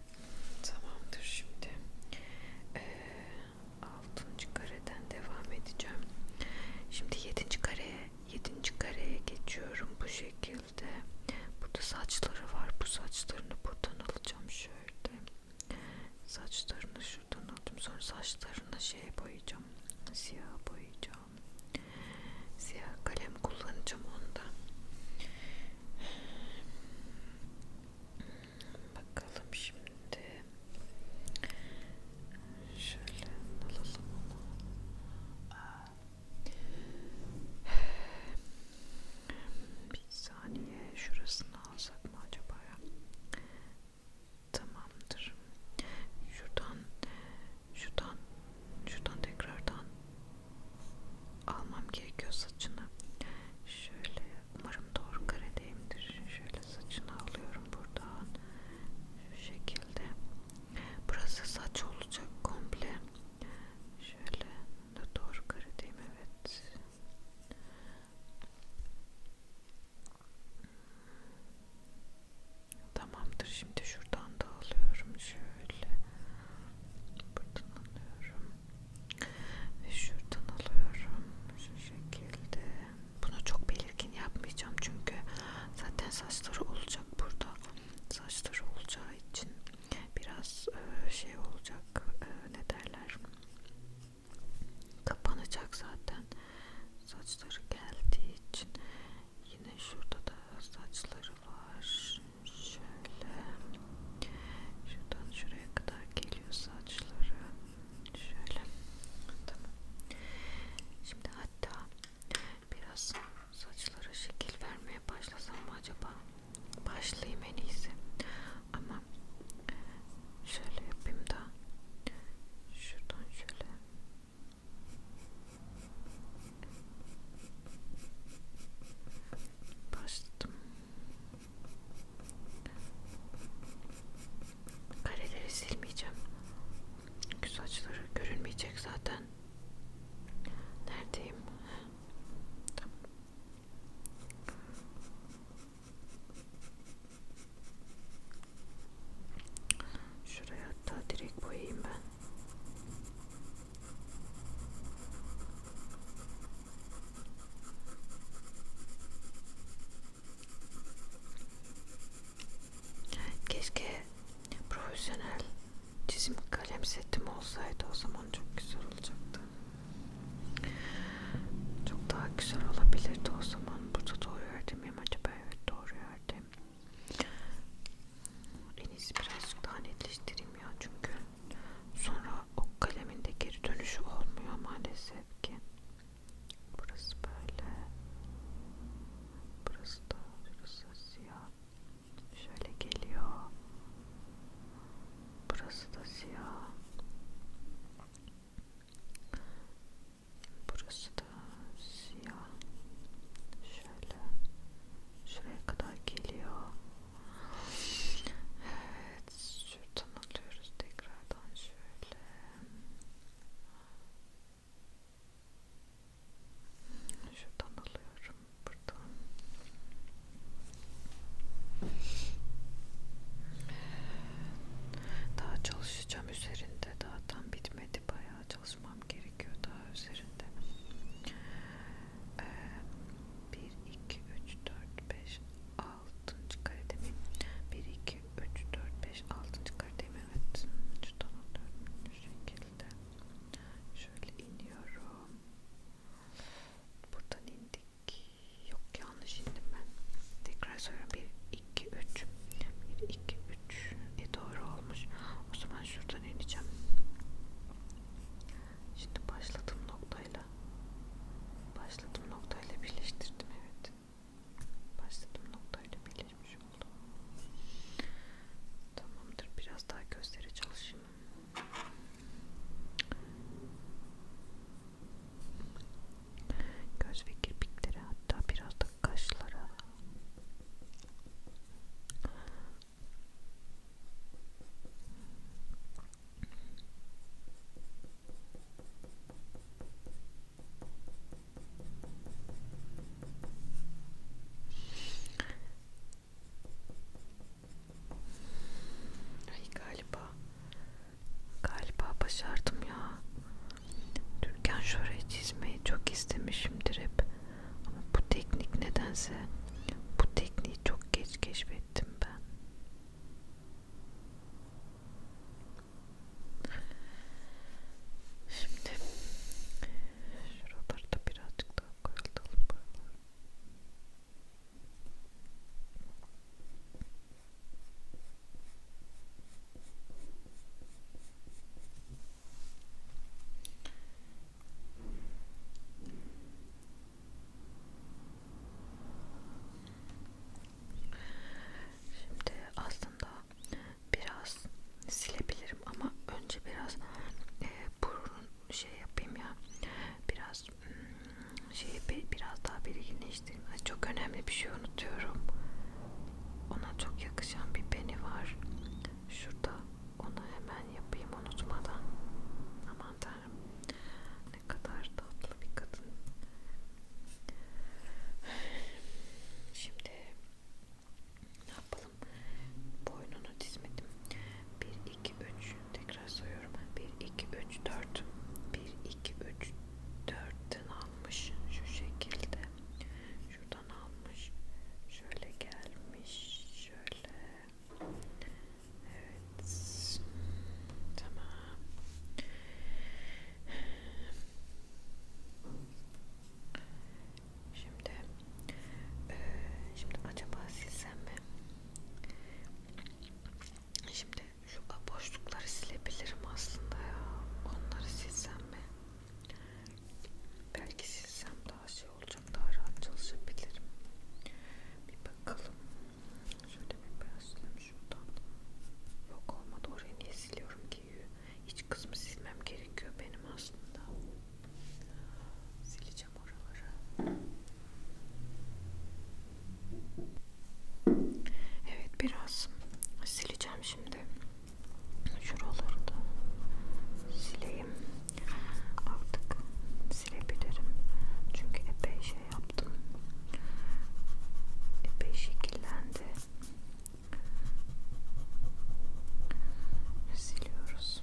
Tamamdır şimdi. Ee, altıncı kareden devam edeceğim. Şimdi yedinci kareye, yedinci kareye geçiyorum bu şekilde. Burada saçları var. Bu saçlarını buradan alacağım şöyle. Saçlarını şuradan aldım. Sonra saçlarını şey boyayacağım. Siyah boyayacağım. Siyah kalem kullanacağım onda. Bakalım şimdi. Şöyle alalım onu. Bir saniye şurasını alsak mı acaba ya? Tamamdır. Şuradan, şuradan, şuradan tekrardan almam gerekiyor saçını. Şöyle Umarım doğru kare deyimdir. Şöyle saçını alıyorum buradan. Şu şekilde. Burası saç olacak komple. Şöyle de doğru kare deyim evet. Tamamdır. Şimdi şuradan da alıyorum. Şöyle buradan alıyorum ve şuradan alıyorum şu şekilde bunu çok belirgin yapmayacağım çünkü zaten saçları olacak burada saçları olacağı için biraz e, şey olacak e, ne derler kapanacak zaten saçları geldiği için yine şurada da saçları var şöyle Şuradan şuraya kadar geliyor saçları. Şöyle. Tamam. Şimdi hatta biraz saçlara şekil vermeye başlasam mı acaba? Başlayayım en iyisi. Ama şöyle yapayım da şuradan şöyle başladım. Kareleri silmeyeceğim. Çünkü saçları görünmeyecek zaten. Neredeyim? Tamam. Şuraya hatta direkt boyayayım ben. Keşke profesyonel çizim kalem setim olsaydı o zaman çok güzel olacaktı. Çok daha güzel olabilirdi o zaman. Burada doğru yerde miyim acaba? Evet doğru yerde. En iyisi birazcık daha netleştireyim ya çünkü sonra ok kaleminde geri dönüşü olmuyor maalesef ki. Burası böyle. Burası da burası siyah. Şöyle geliyor. Burası da siyah. Burası da siyah. Şöyle şuraya kadar geliyor. Evet, şuradan alıyoruz tekrardan şöyle. Şuradan alıyorum buradan. Daha çalışacağım üzerinde. Daha tam bitmedi. Bayağı çalışmam gerekiyor daha üzerinde. Ee, 1 2 3 4 5 6 altıncı karede mi? 1, 2, 3, 4, 5, 6. karede mi? Evet. Şu bu şekilde. Şöyle iniyorum. Buradan indik. Yok yanlış indim ben. Tekrar söylüyorum. 1, 2, 3. 1, 2, 3. E doğru olmuş. O zaman şuradan ineceğim. Şimdi başladığım noktayla nokta. Başladım noktayla birleştirdim evet. Başladım noktayla birleşmiş oldu. Tamamdır biraz daha gözlere çalışayım. Göz ve kirpiklere hatta biraz da kaşlara. Ay galiba galiba başardım ya. Türkan şöreyi çizmeyi çok istemişimdir hep. Ama bu teknik nedense bu tekniği çok geç keşfettim ben. Şimdi şuralarda birazcık daha koyalım Şimdi aslında biraz silebilirim ama önce biraz e, burun şey yapayım ya biraz hmm, şeyi biraz daha belirginleştireyim. Çok önemli bir şey unutuyorum. Ona çok yakışan bir beni var. Şurada onu hemen yapayım unutmadan. Ama aman tanrım ne kadar tatlı bir kadın şimdi ne yapalım boynunu dizmedim 1 2 3 tekrar soruyorum 1 2 3 4 1 2 3 4'ten almış şu şekilde şuradan almış şöyle gelmiş şöyle Evet. Tamam. Şimdi e, şimdi acaba silsem mi? Şimdi e, şu boşlukları silebilirim aslında ya. Onları silsem mi? Belki silsem daha şey olacak, daha rahat çalışabilirim. Bir bakalım. Şöyle bir beyazlayayım şuradan. Yok olmadı orayı niye siliyorum ki? Hiç kısmı silmem gerekiyor benim aslında. Sileceğim oraları. Evet biraz sileceğim şimdi. Şuraları da sileyim. Artık silebilirim. Çünkü epey şey yaptım. Epey şekillendi. Siliyoruz.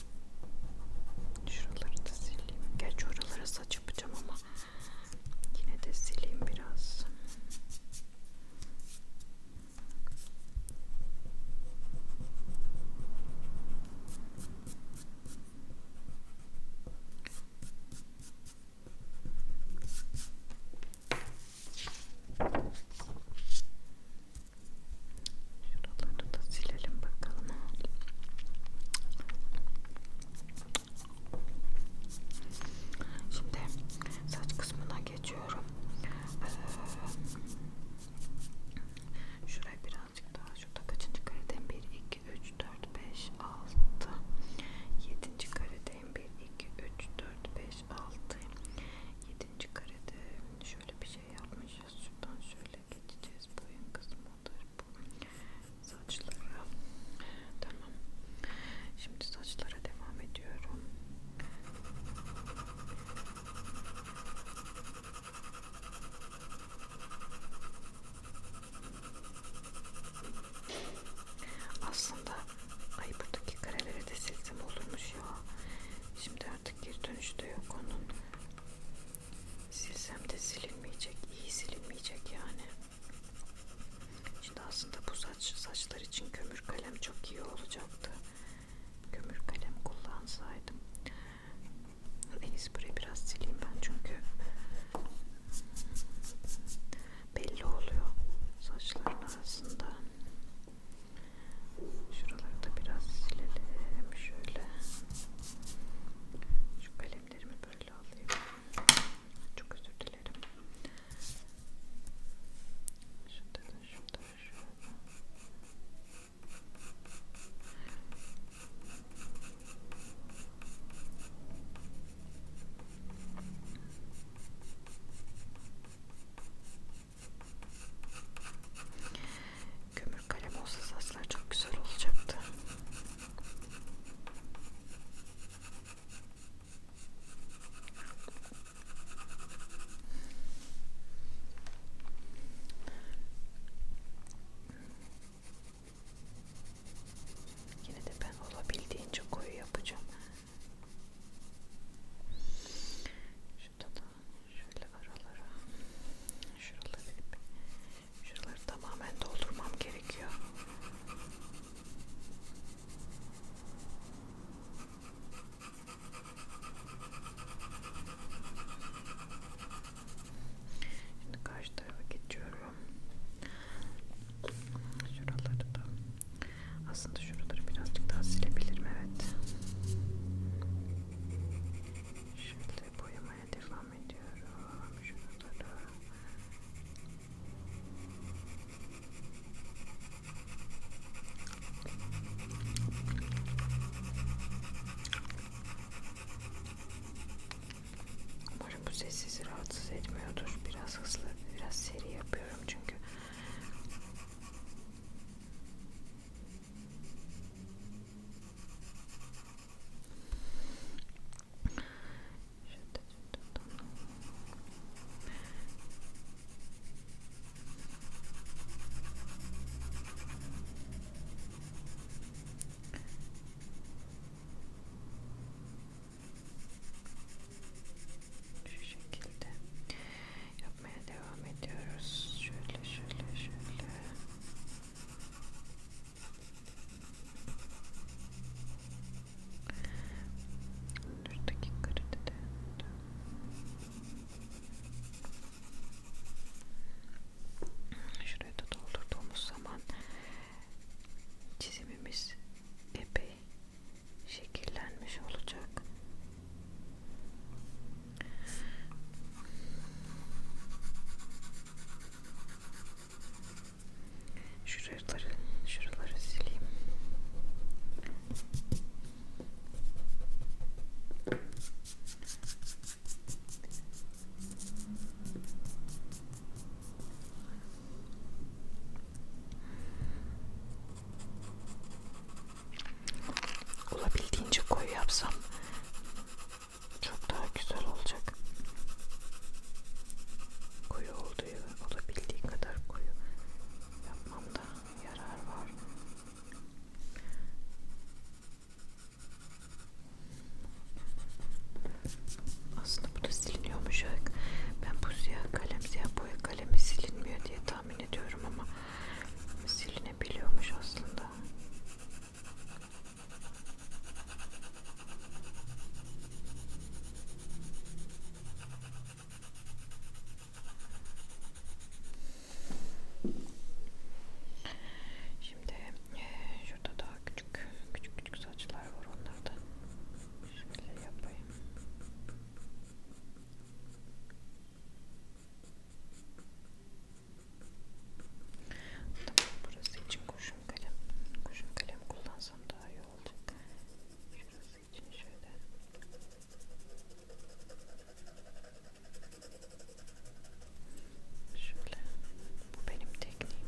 Şuraları da sileyim. Geç oralara saç yapacağım ama yine de sileyim biraz. Şuraları da silelim bakalım. Şimdi saç kısmına geçiyorum. Ee, şuraya birazcık daha. Şurada kaçıncı karedeyim? 1, 2, 3, 4, 5, 6. 7. karedeyim. 1, 2, 3, 4, 5, 6. 7. karede şöyle bir şey yapmışız. Şuradan şöyle böyle geçeceğiz. Boyun kısmı odur bu. Saçlara. Tamam. Şimdi saçlara devam ediyorum. Aslında ay buradaki kareleri de silsem olurmuş ya. Şimdi artık geri dönüşte yok onun silsem de silinmeyecek iyi silinmeyecek yani şimdi aslında bu saç saçlar için kömür kalem çok iyi olacaktı kömür kalem kullansaydım en iyisi burayı biraz sileyim ben çünkü belli oluyor saçların arasında şuraları da biraz silelim şöyle şu kalemlerimi böyle alayım. Çok özür dilerim. Şurada da şurada da şurada. Kömür kalem olsa saçlar çok güzel olacaktı. Yine de ben olabildiğince koyu yapacağım. Şurada da şöyle aralara şuraları bir Şuraları tamamen doldurmam gerekiyor. Şimdi karşı tarafa geçiyorum. Şuraları da aslında şuraları birazcık daha silebilirim evet. Şimdi boyamaya devam devam ediyorum şuralara Umarım bu ses sizi rahatsız etmiyordur. Biraz hızlı, biraz seri yapıyorum çünkü şu şekilde yapmaya devam ediyoruz. Şöyle şöyle şöyle. Şuradaki kredi de Şuraya da doldurduğumuz zaman çizimimiz epey şekillenmiş olacak. Şuraları, şuraları sileyim. Olabildiğince koyu yapsam çok daha güzel olacak. Koyu olduğu ve olabildiği kadar koyu yapmamda yarar var. Aslında bu da siliniyormuş. Ben bu siyah kalem, siyah boya kalemi silinmiyor diye tahmin ediyorum ama silinebiliyormuş aslında. Şimdi e, şurada daha küçük küçük küçük saçlar var onları da şöyle yapayım. Tamam, burası için kurşun kalem, kurşun kalem kullansam daha iyi olacak. Şurası için şöyle. Şöyle. Bu benim tekniğim.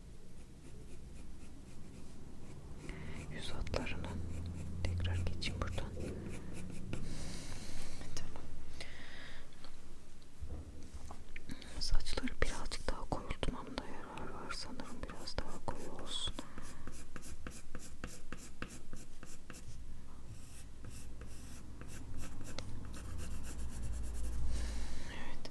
Yüz hatlarının tekrar geçeyim buradan. Tamam. Saçları birazcık daha koyultmamda yarar var sanırım biraz daha koyu olsun. Evet.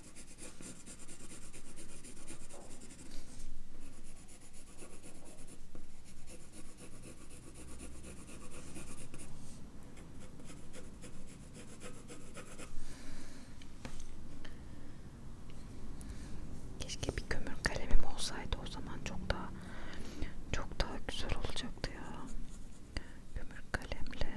Keşke bir kömür kalemim olsaydı o zaman çok daha çok daha güzel olacaktı ya. Kömür kalemle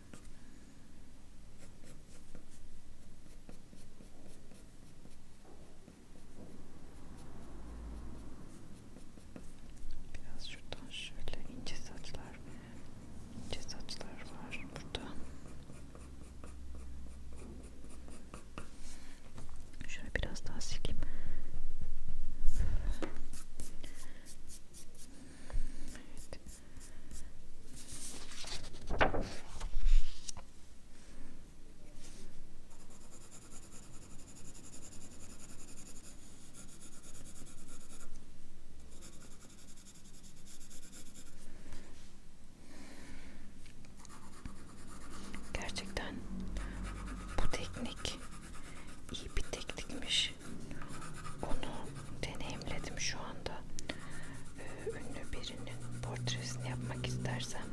Biraz şuradan şöyle ince saçlar, ince saçlar var burada. Şöyle biraz daha sileyim. Evet. Gerçekten bu teknik iyi bir teknikmiş. Onu deneyimledim şu anda. Ee, ünlü birinin portresini yapmak istersem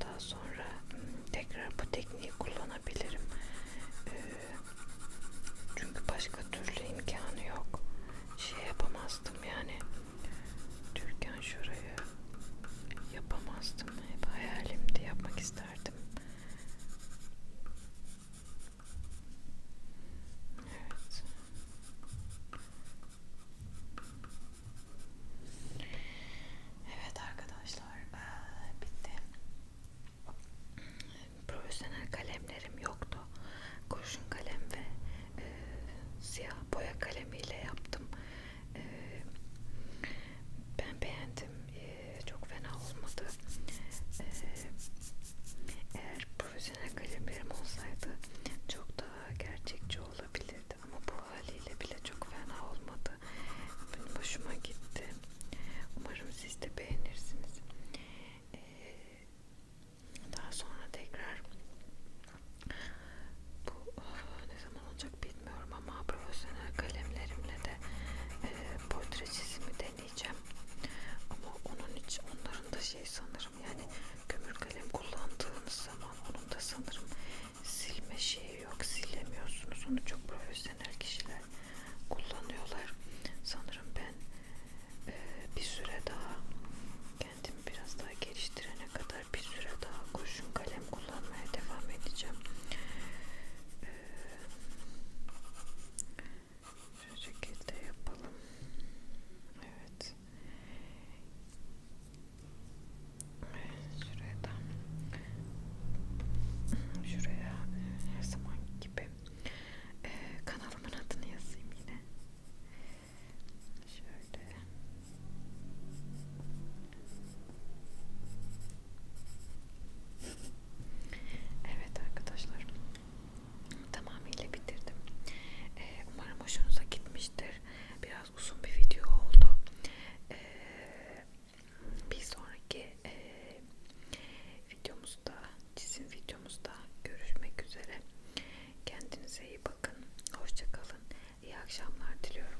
daha sonra hmm, tekrar bu tekniği kullanabilirim. Ee, çünkü başka türlü imkanı yok. Şey yapamazdım yani. Türkan şurayı yapamazdım. Hep hayalimdi yapmak isterdim. Evet. Evet arkadaşlar ee, bitti. Profesyonel kalemlerim yoktu. Kurşun kalem ve e, siyah boya kalemiyle yaptım. E, ben beğendim. E, çok fena olmadı. E, eğer profesyonel kalemlerim olsaydı çok da gerçekçi olabilirdi ama bu haliyle bile çok fena olmadı. Benim hoşuma gitti. Umarım siz de beğenirsiniz. Ee, daha sonra tekrar bu ah, ne zaman olacak bilmiyorum ama profesyonel kalemlerimle de e, portre çizimi deneyeceğim. Ama onun için onların da şey sanırım sanırım yani kömür kalem kullandığınız zaman onun da sanırım silme şeyi yok silemiyorsunuz onu çok profesyonel kişiler kullanıyorlar sanırım ben e, bir süre daha kendimi biraz daha geliştirene kadar bir süre daha kurşun kalem kullanmaya devam edeceğim e, şu şekilde yapalım evet Şuraya da şuraya her zaman gibi ee, kanalımın adını yazayım yine. Şöyle. Evet arkadaşlar tamamıyla bitirdim. Ee, umarım hoşunuza gitmiştir. Biraz uzun bir video oldu. Ee, bir sonraki e, videomuzda, çizim videomuzda görüşmek üzere. Kendinize iyi bakın. Hoşçakalın. İyi akşamlar diliyorum.